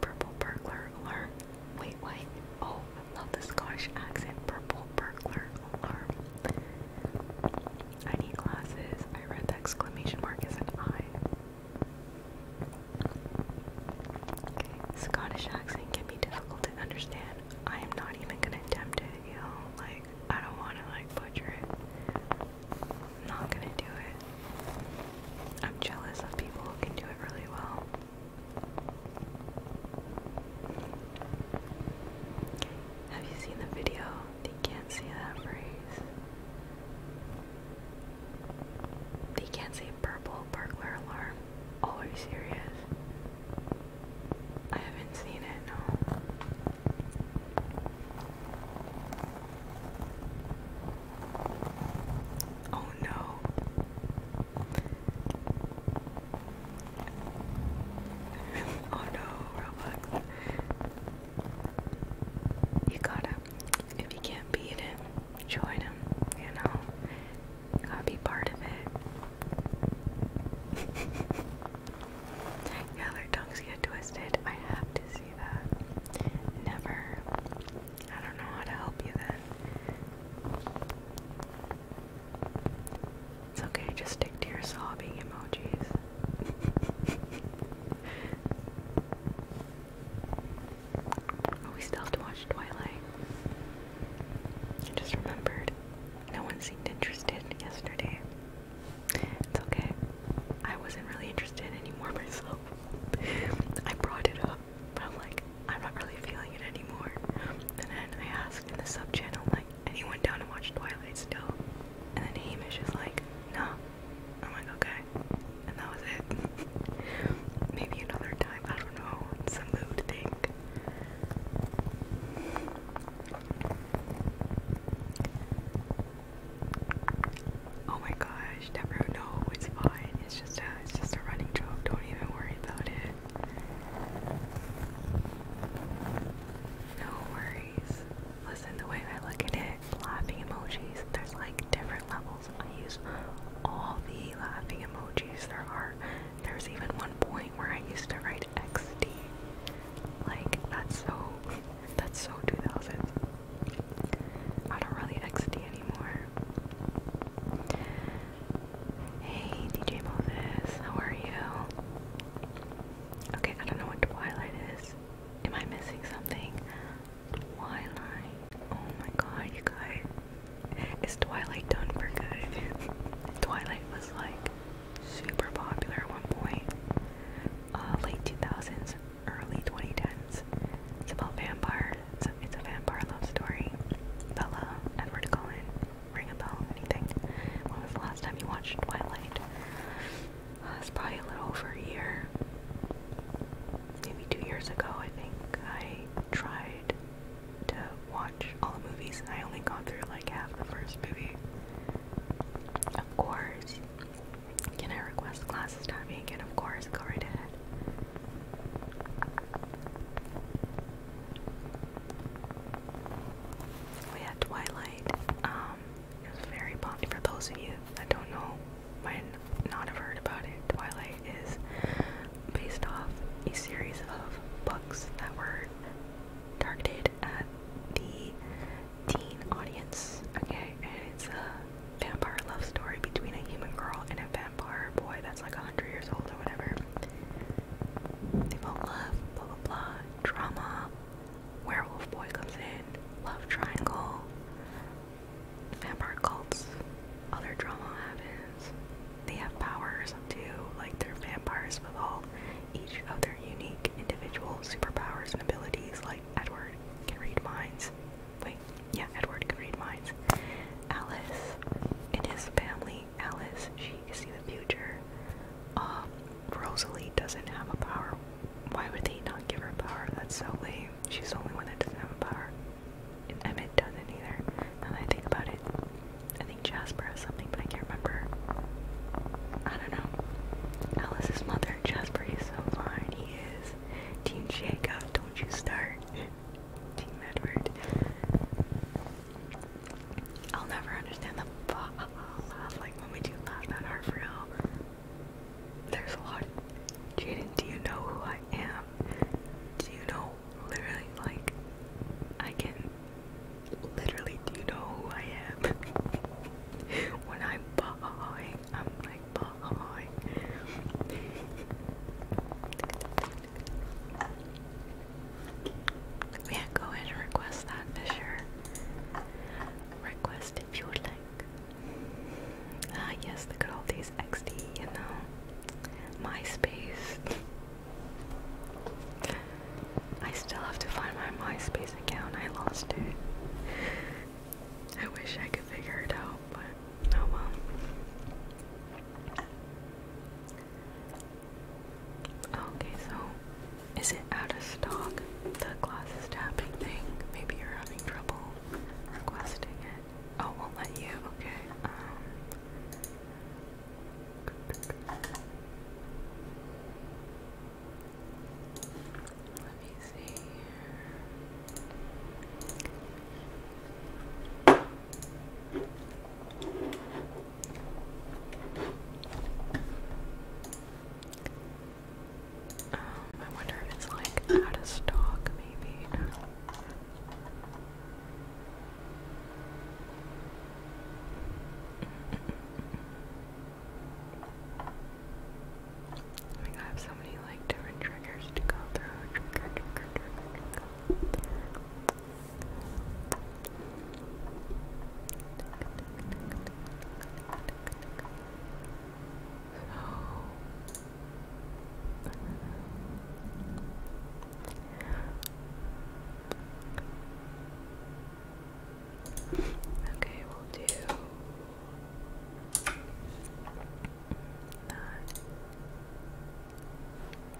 purple burglar alert. Wait, wait. Oh, love the Scottish accent. Purple burglar alert. I need glasses. I read the exclamation mark as an I. Okay, Scottish accent can be difficult to understand. I am not even gonna attempt it, you know, like I don't wanna like butcher it. not gonna do it. I'm jealous of people who can do it really well. Have you seen the video? They can't say that phrase. They can't say purple burglar alarm. Oh, are you serious? I haven't seen it, no. Oh no. oh no, Roblox. You gotta, if you can't beat him, join him, you know? gotta be part of it. yeah, their tongues get twisted. I have to see that. Never. I don't know how to help you then. It's okay, just stick to your sobbing emojis. Oh, we still have to watch Twilight. just remembered. No one seemed interested yesterday. It's okay. I wasn't really interested anymore myself. I brought it up. But I'm like, I'm not really feeling it anymore. And then I asked in the sub channel, like, anyone down to watch Twilight still? And then Hamish is like, no. I'm like, okay. And that was it. Maybe another time, I don't know. It's mood thing. Oh my gosh, never know. It's fine. It's it's just a running joke. Don't even worry about it. No worries. Listen, the way I look at it, laughing emojis, there's like different levels. I use all the laughing emojis there are. There's even one point where I used to write XD. Like, that's so, that's so 2000. I don't really XD anymore. Hey, DJ Moses, how are you? Okay, I don't know what Twilight is. Am I missing something? Twilight. Oh my god, you guys. Is Twilight done for good? Twilight was like super popular at one point. Uh, late 2000s, early 2010s. It's about vampires it's a, vampire love story. Bella, Edward Cullen, ring a bell, anything. When was the last time you watched Twilight? Uh, probably a little over a year. Maybe two years ago, I think. I tried to watch all the movies I only got through like half the first movie. Of course. Can I request classes time again? Of course, go right ahead. Oh yeah, Twilight. Um, it was very popular. For those of you that don't know, might not have heard about it. Twilight is based off a series of books that were targeted at the teen audience. Okay, and it's a vampire love story between a human girl and a vampire boy that's like a hundred years old or whatever. They both love blah blah blah drama. Werewolf boy comes in. Love triangle. Vampire cults. Other drama happens. They have powers too. Like they're vampires with all each of their unique individual superpowers and abilities. Like Edward can read minds. Wait, yeah, Edward can read minds. Alice and his family. Alice, she can see the future. Um, Rosalie doesn't have a power. Why would they not give her power? That's so lame. She's the only one that doesn't have a power. And Emmett doesn't either. Now I think about it, I think Jasper has something, but I can't remember. I don't know. Alice's mother, Jasper, is so fine. He is. Team Jacob, don't you start. Team Edward. I'll never understand the ball Like when we do laugh that hard for real. There's a lot. Jaden, do you know who I am? Do you know literally like I can literally do you know who I am? when I'm bawling, I'm like bawling. Yeah, go ahead and request that, Fisher. Request if you would like. Ah, yes, the good old days XD, you know. MySpace. I still have to find my MySpace account. I lost it. I wish I could figure it out, but oh well. Okay, so is it out of stock? The glasses tapping thing. Maybe you're having trouble requesting it. Oh, we'll let you. Okay. Um. let me see. Here. Um, I wonder if it's like out of stock, maybe. I have so many like different triggers to go through. Okay, we'll do that.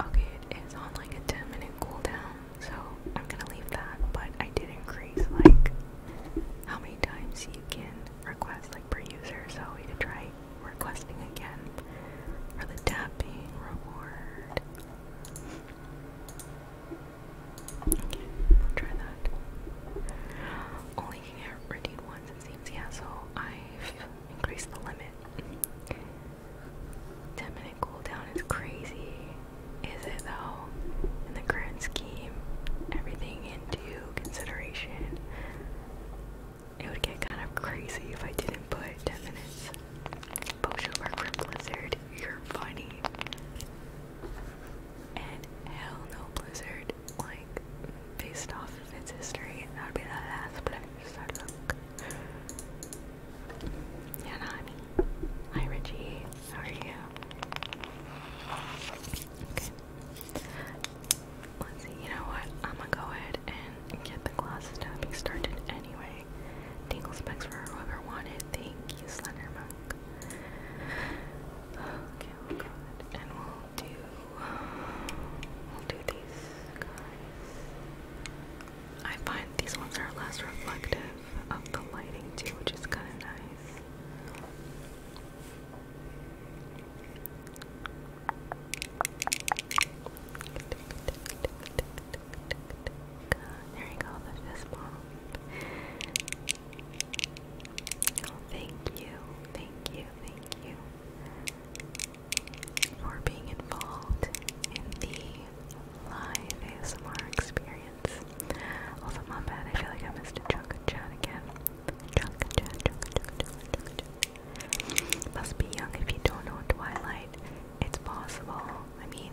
Okay, it is on like a 10 minute cooldown, so I'm gonna leave that, but I did increase like how many times you can request like per user, so we could try requesting again for the tapping reward. Okay, try that. Only can get redeemed once it seems, yeah, so I've increased the limit. 10 minute cooldown is crazy. Is it though? In the current scheme, everything into consideration, it would get kind of crazy if I didn't put 10 minutes. Potion work Blizzard, you're funny. And hell no, Blizzard. Like, based off its history, that would be the last place I look. Yanani. Hi Richie. How are you? Let's see, you know what? I'm gonna go ahead and get the glasses tapping started anyway. Dingle specs for whoever wanted. Thank you, Okay, we'll and we'll do we'll do these guys. I find these ones are less reflective of the lighting too, which is kind of nice. There you go, the fist bump. Oh, thank you, thank you, thank you for being involved in the live ASMR experience. Also, Mom Bad, I feel like I missed a chunk of chat again. Chunk of chat, chunk of chat, chunk Must be young if you don't know Twilight. It's possible. I mean,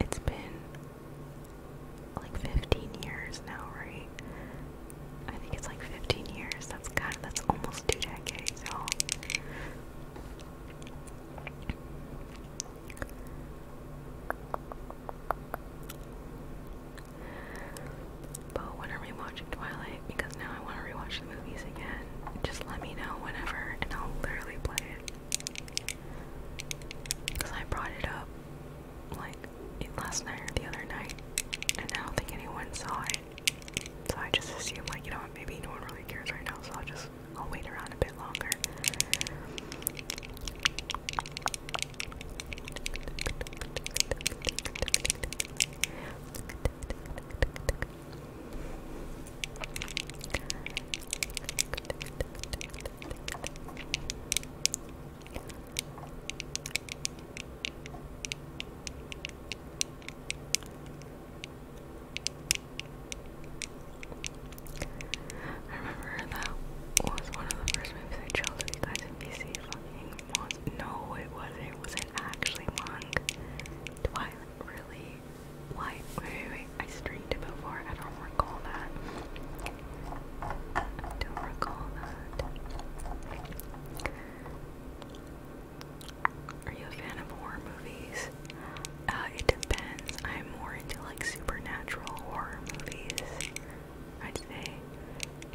it's been like 15 years now, right? I think it's like 15 years. That's kind of, that's almost two decades old. But I want to rewatch Twilight because now I want to rewatch the movies again. Just let me know whenever and I'll literally play it. Because I brought it up like last night or the other night and I don't think anyone saw it. So I just assume like, you know maybe no one really cares right now, so I'll just I'll wait around a bit longer. I remember that was one of the first movies I chose if you guys in BC No, it wasn't. It was actually Twilight, really? Wait, wait, wait. I streamed it before. I don't recall that. I don't recall that. Are you a fan of horror movies? Uh, it depends. I'm more into like supernatural horror movies, I'd say.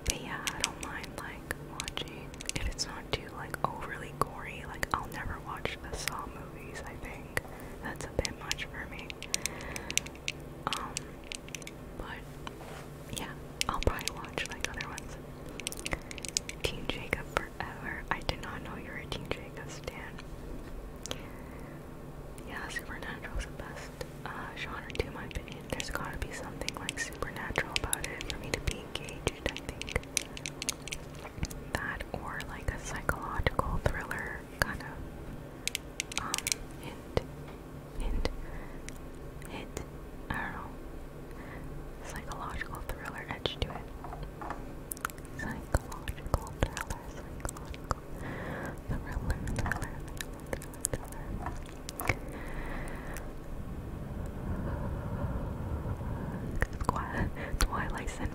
But yeah, I don't mind like watching if it's not too like overly gory. Like I'll never watch the Saw movies. I think that's a bit much for me. Um, but yeah, I'll probably watch like other ones. Team Jacob forever. I did not know you were a Team Jacob stan. Yeah, Supernatural is the best uh, genre, to my opinion. There's gotta be something like supernatural about it for me to be engaged, I think. That or like a psychological thriller kind of um, hint hint hint I psychological thriller edge to it. Psychological thriller, psychological thriller, thriller, thriller, thriller. Squad, and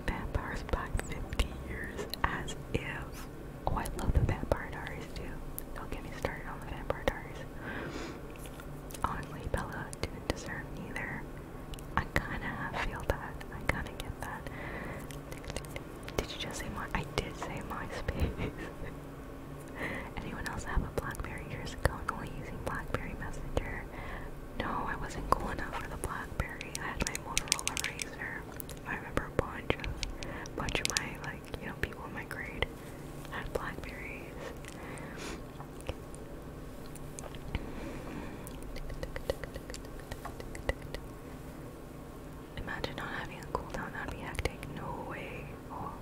Vampires by 50 years as if. Oh, I love the Vampire Diaries too. Don't get me started on the Vampire Diaries. Honestly, Bella didn't deserve either. I kinda feel that. I kinda get that. Did you just say my? I did say MySpace. Anyone else have a BlackBerry years ago and only using BlackBerry Messenger? No, I wasn't cool enough for the BlackBerry. I had my Motorola Razr. I remember a bunch of, bunch of my like you know people in my grade had Blackberries. Imagine not having a cooldown, that'd be hectic. No way. Oh,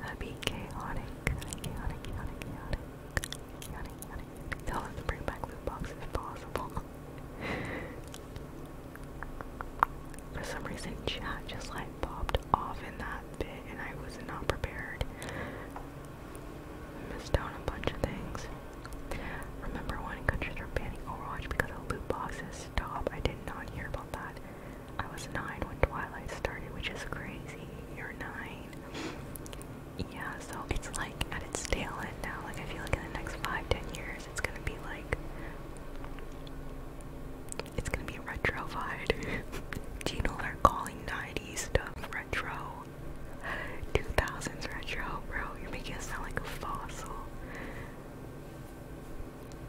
that'd be chaotic. Chaotic, chaotic, chaotic, chaotic. Chaotic, Tell them to bring back loot boxes if possible. For some reason, chat just like popped off in that bit, and I was not prepared missed out on a bunch of things. Remember when countries were banning Overwatch because of loot boxes? Stop, I did not hear about that. I was 9 when Twilight started, which is crazy. You're 9. Yeah, so it's like at its tail now. Like, I feel like in the next 5 years, it's gonna be like. It's gonna be retrofied. Do you know they're calling 90s stuff retro. 2000s retro, bro. You're making us sound like a fossil.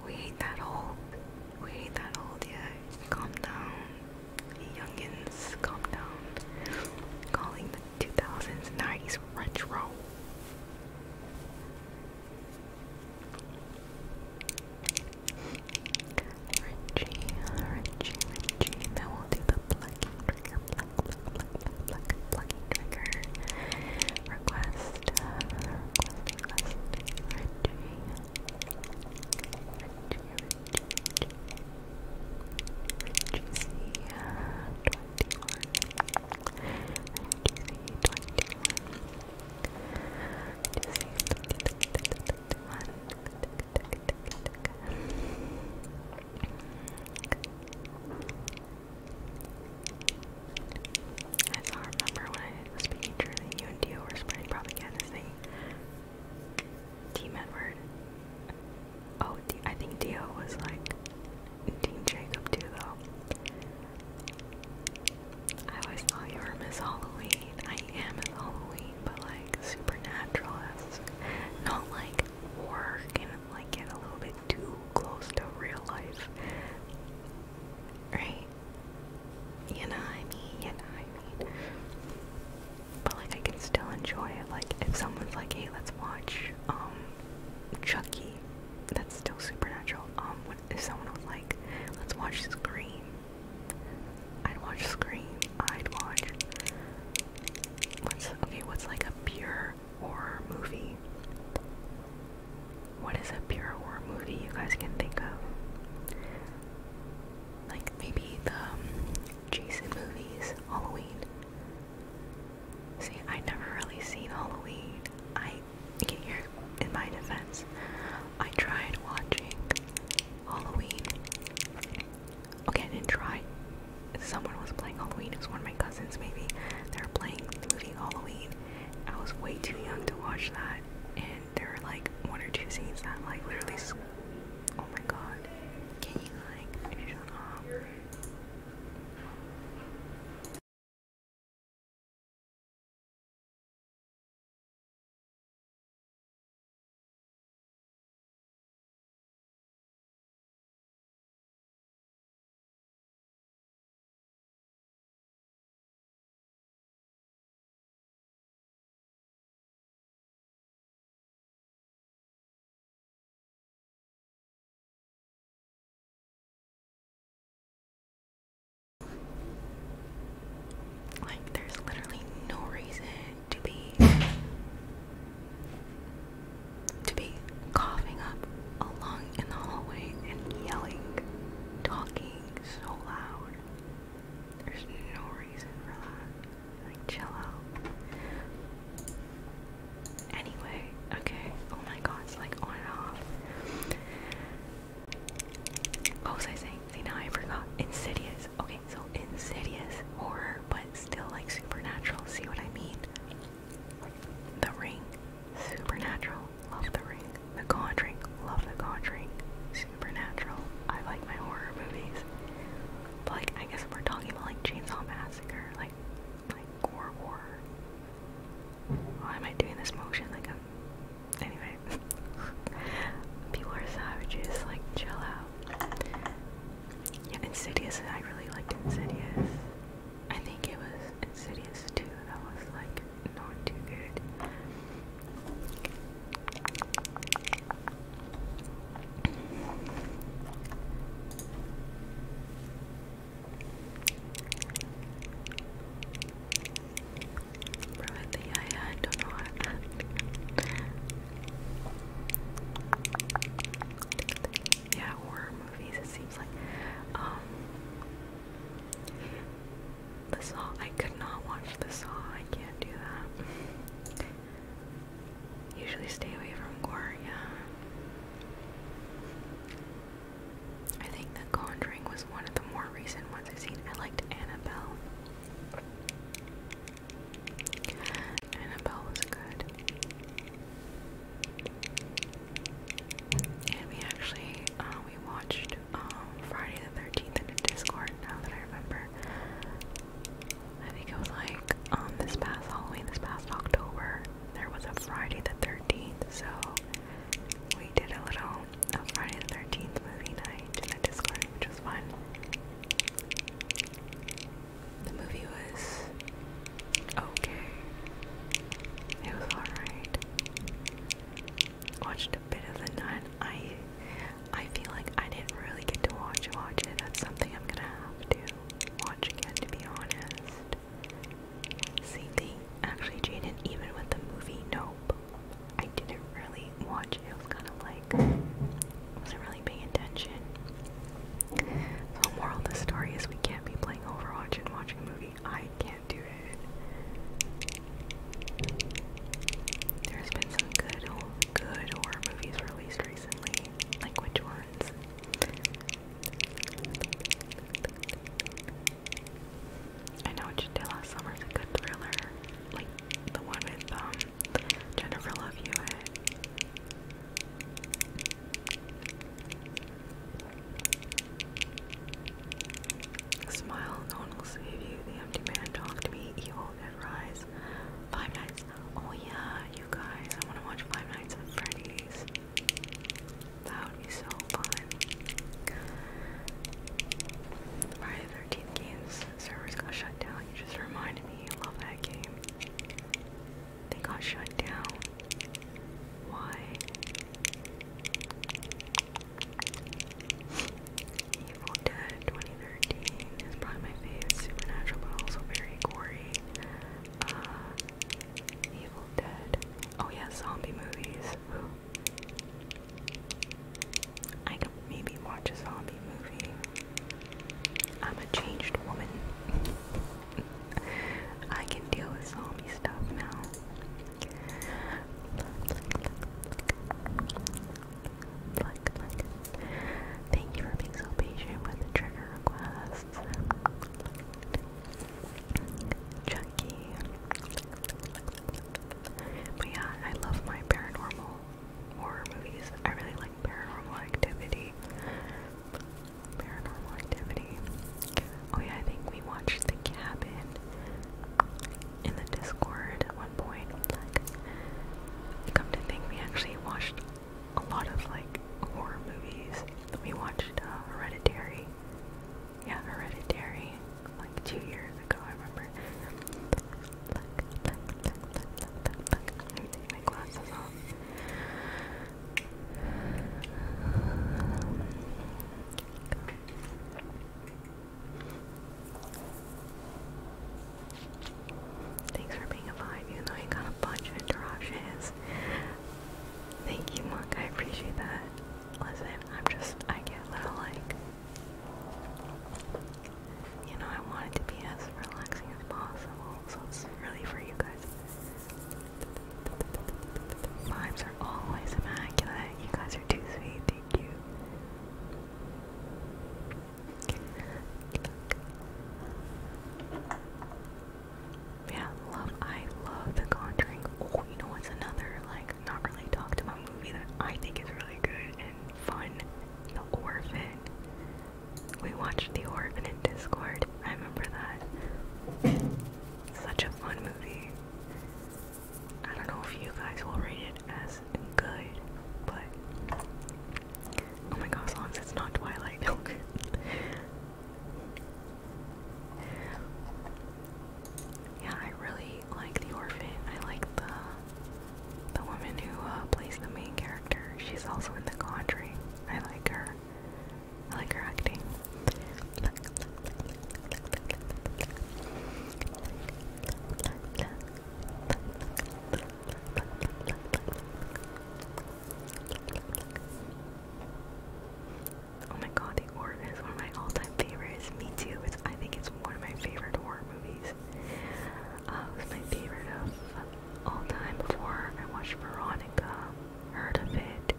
We ain't that old. We ain't that old yet. Calm down. Youngins, calm down. Calling the 2000s, 90s retro. Richie, Richie, Richie. Now we'll do the plucking trigger, pluck, pluck, pluck, pluck, plucking trigger. Request, uh, request, Richie. Richie, Richie, Richie. Richie C, I remember when I was speaking true you and Dio were spreading propaganda Team Edward. Oh, D I think Dio was like Team Jacob too though. I always thought you were Miss Halloween. I am Halloween scary, but like supernatural esque. Not like horror can like get a little bit too close to real life. Right? You know what I mean? You know what I mean? But like I can still enjoy it. Like if someone's like, hey, let's watch um Chucky, that's still supernatural. Um, what if someone was like, let's watch Scream, I'd watch Scream. I'd watch. What's okay? What's like a pure horror movie? What is a pure horror movie you guys can think of? Like maybe the um, Jason movies, Halloween. See, I never really seen Halloween. I get here in my defense. I tried watching Halloween Okay, I didn't try. Someone was playing Halloween. It was one of my cousins, maybe. They were playing the movie Halloween. I was way too young to watch that, and there were like one or two scenes that like literally. Oh my god! Can you like shut up? Like, there's literally no reason to be to be coughing up along in the hallway and yelling, talking so loud. There's no reason for that. Like chill out. Anyway, okay. Oh my god, it's like on and off. What was I saying? now I forgot. Insidious. Okay, so insidious horror, but still like supernatural. See what I mean? The Ring, supernatural. Love The Ring. The Conjuring. Love The Conjuring. Supernatural. I like my horror movies. But like, I guess if we're talking about like Chainsaw Massacre, like, like gore horror. Why am I doing this motion? Like, i Anyway. People are savages, like, chill out. Insidious, I really liked Insidious. I think it was Insidious too, that was like not too good. Bro, I think I don't know. Yeah, horror movies, it seems like. Um, the Saw, I could not watch The Saw, I can't do that. Usually stay away from gore, yeah. I think The Conjuring was one of the more recent ones I've seen. I liked Annabelle. Annabelle was good. And we actually, uh, we watched um, Friday the 13th in the Discord, now that I remember. I think it was like um, this past Halloween, this past October, there was a Friday the 13th, so we did a little a Friday the 13th movie night in the Discord which was fun. The movie was okay. It was alright. Watched a bit of the nun. I I feel like I didn't really get to watch watch it. That's something I'm gonna have to watch again to be honest. Same actually Jaden even with the movie Nope. I didn't really watch it. It was kinda like wasn't really paying attention. So moral of the story is we can't be playing Overwatch and watching a movie. I can't do it. There's been some good good horror movies released recently. Like which ones? I know Chitilla Summer's a good thriller. Like the one with um Jennifer Love Hewitt. Smile, no one will save you. The empty man talked to me. Evil Dead Rise. Five Nights. Oh yeah, you guys, I want to watch Five Nights at Freddy's. That would be so fun. Friday Thirteenth games server's got shut down. You just reminded me. I love that game. They got shut down. Why? Evil Dead 2013 is probably my favorite. Supernatural, but also very gory. Uh, Evil Dead. Oh yeah, zombie movies. I could maybe watch a zombie movie. I'm a changed woman. I can deal with zombie stuff now. Thank you for being so patient with the trigger requests. Chucky. But yeah, I love my paranormal horror movies. I really like Paranormal Activity. Paranormal Activity. Oh yeah, I think we watched The Cabin in the Discord at one point. Like, come to think, we actually watched a lot of like horror movies. We watched uh, Hereditary. Yeah, Hereditary, like two years ago, Thanks for being a vibe, even though I got a bunch of interruptions. Thank you, Monk. I appreciate that. Listen, I'm just, I get a little like you know, I wanted to be as relaxing as possible, so it's really for you guys. Vibes are always immaculate. You guys are too sweet. Thank you. Yeah, love. I love The Conjuring. Oh, you know what's another like not really talked about movie that I think is really good and fun? The Orphan. We watched The Orphan in Discord. I remember that. Such a fun movie. I don't know if you guys will rate it as good, but oh my gosh, long as it's not Twilight. yeah, I really like The Orphan. I like the the woman who uh, plays the main character, she's also in The Conjuring. I like her. I like her acting. Oh my god, The Orb is one of my all-time favorites. Me too. I think it's one of my favorite horror movies. Uh, it was my favorite of all time before I watched Veronica. Heard of it.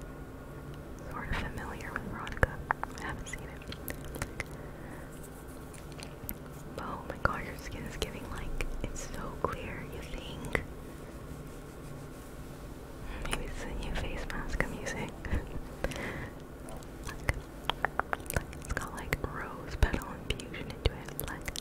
Sort of familiar with Veronica. I haven't seen it. oh my god, your skin is giving like, it's so clear, you think? Maybe it's the new face mask I'm using. like, it's got like rose petal infusion into it. Like,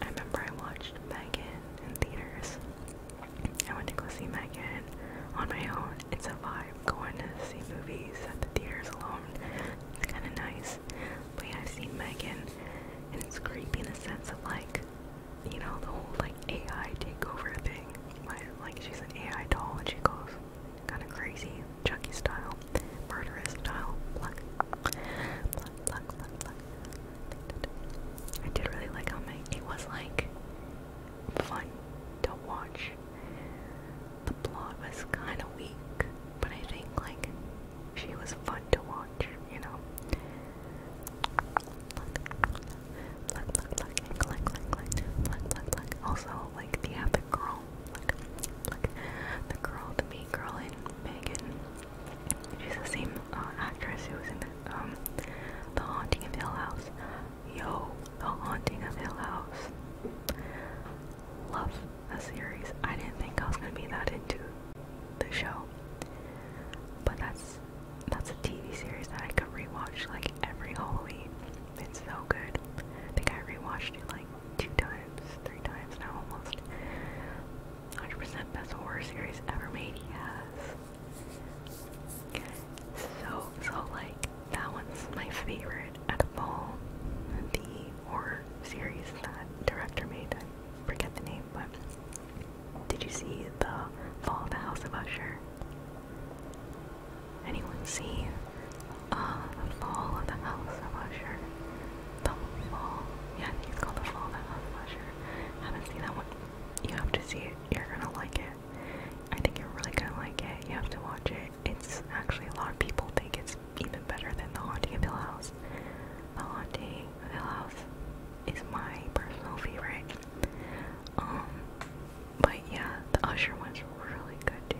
I remember I watched Megan in theaters. I went to go see Megan on my own. It's a vibe going to see movies at the theaters alone. It's kind of nice is. But yeah, I've seen Megan, and it's creepy in a sense of like, you know, the whole like AI takeover thing. Like, like she's an AI doll and she goes kind of crazy, Chucky style, murderous style. Pluck, pluck, pluck, pluck, pluck. I did really like how my, it was like fun to watch. The plot was kind of weak, but I think like she was fun to watch, you know. Look, look, look, and the girl, the girl, the main girl in Megan. She's the same actress who was in the, um, the Haunting of Hill House. Yo, The Haunting of Hill House. Love a series. I didn't think I was gonna be that into the show, but that's that's a TV series that I could rewatch like every Halloween. It's so good. I think I rewatched it like two times, three times now almost. 100% best horror series ever made. Yes. So so like that one's my favorite out of all the horror series that director made forget the name, but did you see the Fall of the House of Usher? Anyone see uh, the Fall of the House of Usher? The Fall? Yeah, I think the Fall of the House of Usher. I haven't seen that one. You have to see it. You're gonna like it. I think you're really gonna like it. You have to watch it. It's actually a lot of people think it's even better than the Haunting of Hill House. The Haunting of Hill House is my personal favorite. Um, but yeah, the Usher one's really good too.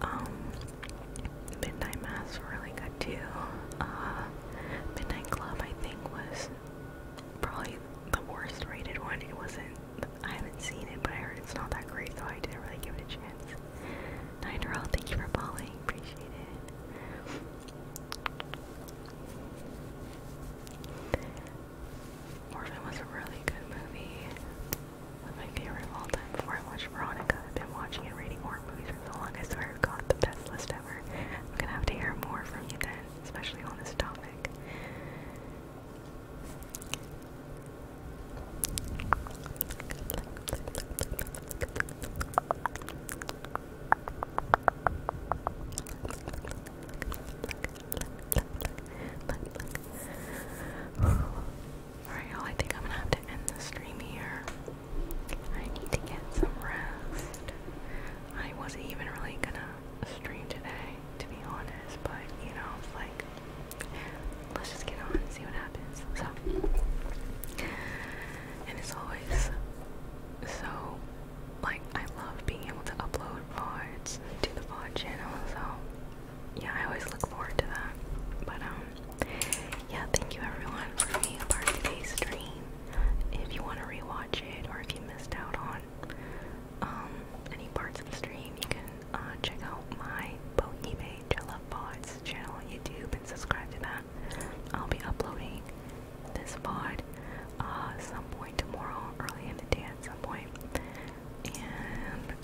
Um, Midnight Mass really good too. Uh, Midnight Club I think was probably the worst rated one. It wasn't. I haven't seen it, but I heard it's not that great, so I didn't really give it a chance. Nidoral, thank you for following. Appreciate it. Orphan was a really good movie my favorite of all time before I watched Veronica. I've been watching and reading horror movies for so long. I swear I've got the best list ever. I'm gonna have to hear more from you then, especially on this topic. Alright, y'all, I think I'm gonna have to end the stream here. I need to get some rest. I wasn't even really gonna stream today, to be honest, but you know, it's like, let's just get on and see what happens. So, and as always, so, like, I love being able to upload VODs to the VOD channel, so yeah, I always look forward to that. But um, yeah, thank you everyone for being a part of today's stream. If you want to rewatch it or if you missed out on um any parts of the stream, you can uh, check out my Botany page. channel on YouTube and subscribe to that. I'll be uploading this pod uh some point tomorrow, early in the day at some point and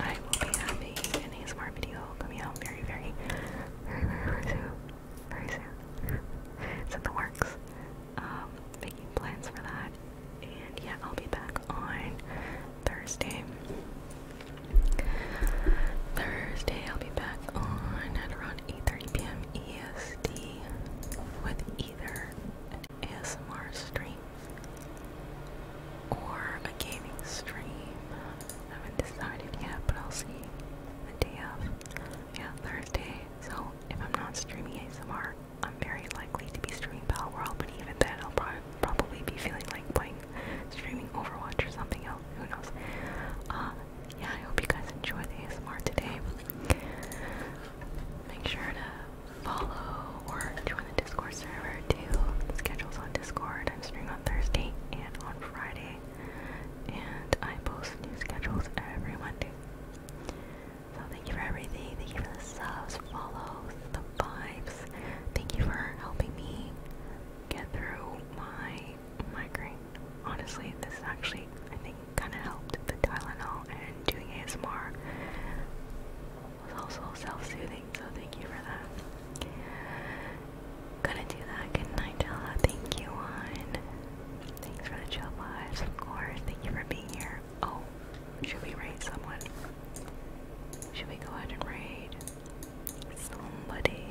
I will be having an ASMR video coming out very, very, very, very, very soon. Very soon. it's in the works. Um, making plans for that. And yeah, I'll be back on Thursday. Thursday, I'll be back on at around 8:30 p.m. EST with either ASMR stream or a gaming stream. I haven't decided yet, but I'll see the day of. Yeah, Thursday. So if I'm not streaming ASMR, I'm very likely to be streaming Battle but even then I'll pro probably be feeling like playing streaming Overwatch or something else. Who knows? Uh, yeah, I hope you guys enjoyed the ASMR today. Make sure to follow or join the Discord server to schedules on Discord. I'm streaming on Thursday and on Friday, and I post new schedules every Monday. So thank you for everything. Thank you for the subs, follows, the vibes. Thank you for helping me get through my migraine. Honestly, this actually I think kind of helped the Tylenol and doing ASMR was also self-soothing, so thank you for that. Gonna do that. Good night, Della. Thank you, on. Thanks for the chill vibes, of course. Thank you for being here. Oh, should we raid someone? Should we go ahead and raid somebody?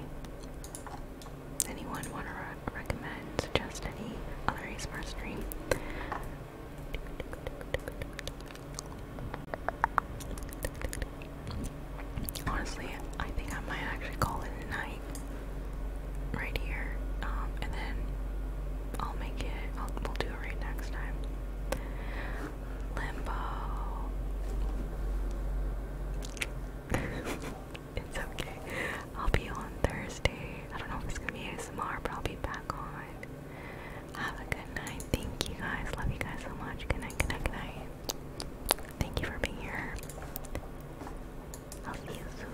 Anyone want to recommend, suggest any other ASMR stream? Honestly, I think I might actually call it a night right here, um, and then I'll make it. we'll do it right next time. Limbo. it's okay. I'll be on Thursday. I don't know if it's gonna be ASMR, but I'll be back on. Have a good night. Thank you guys. Love you guys so much. Good night, good night, good night. Thank you for being here. I'll see you soon.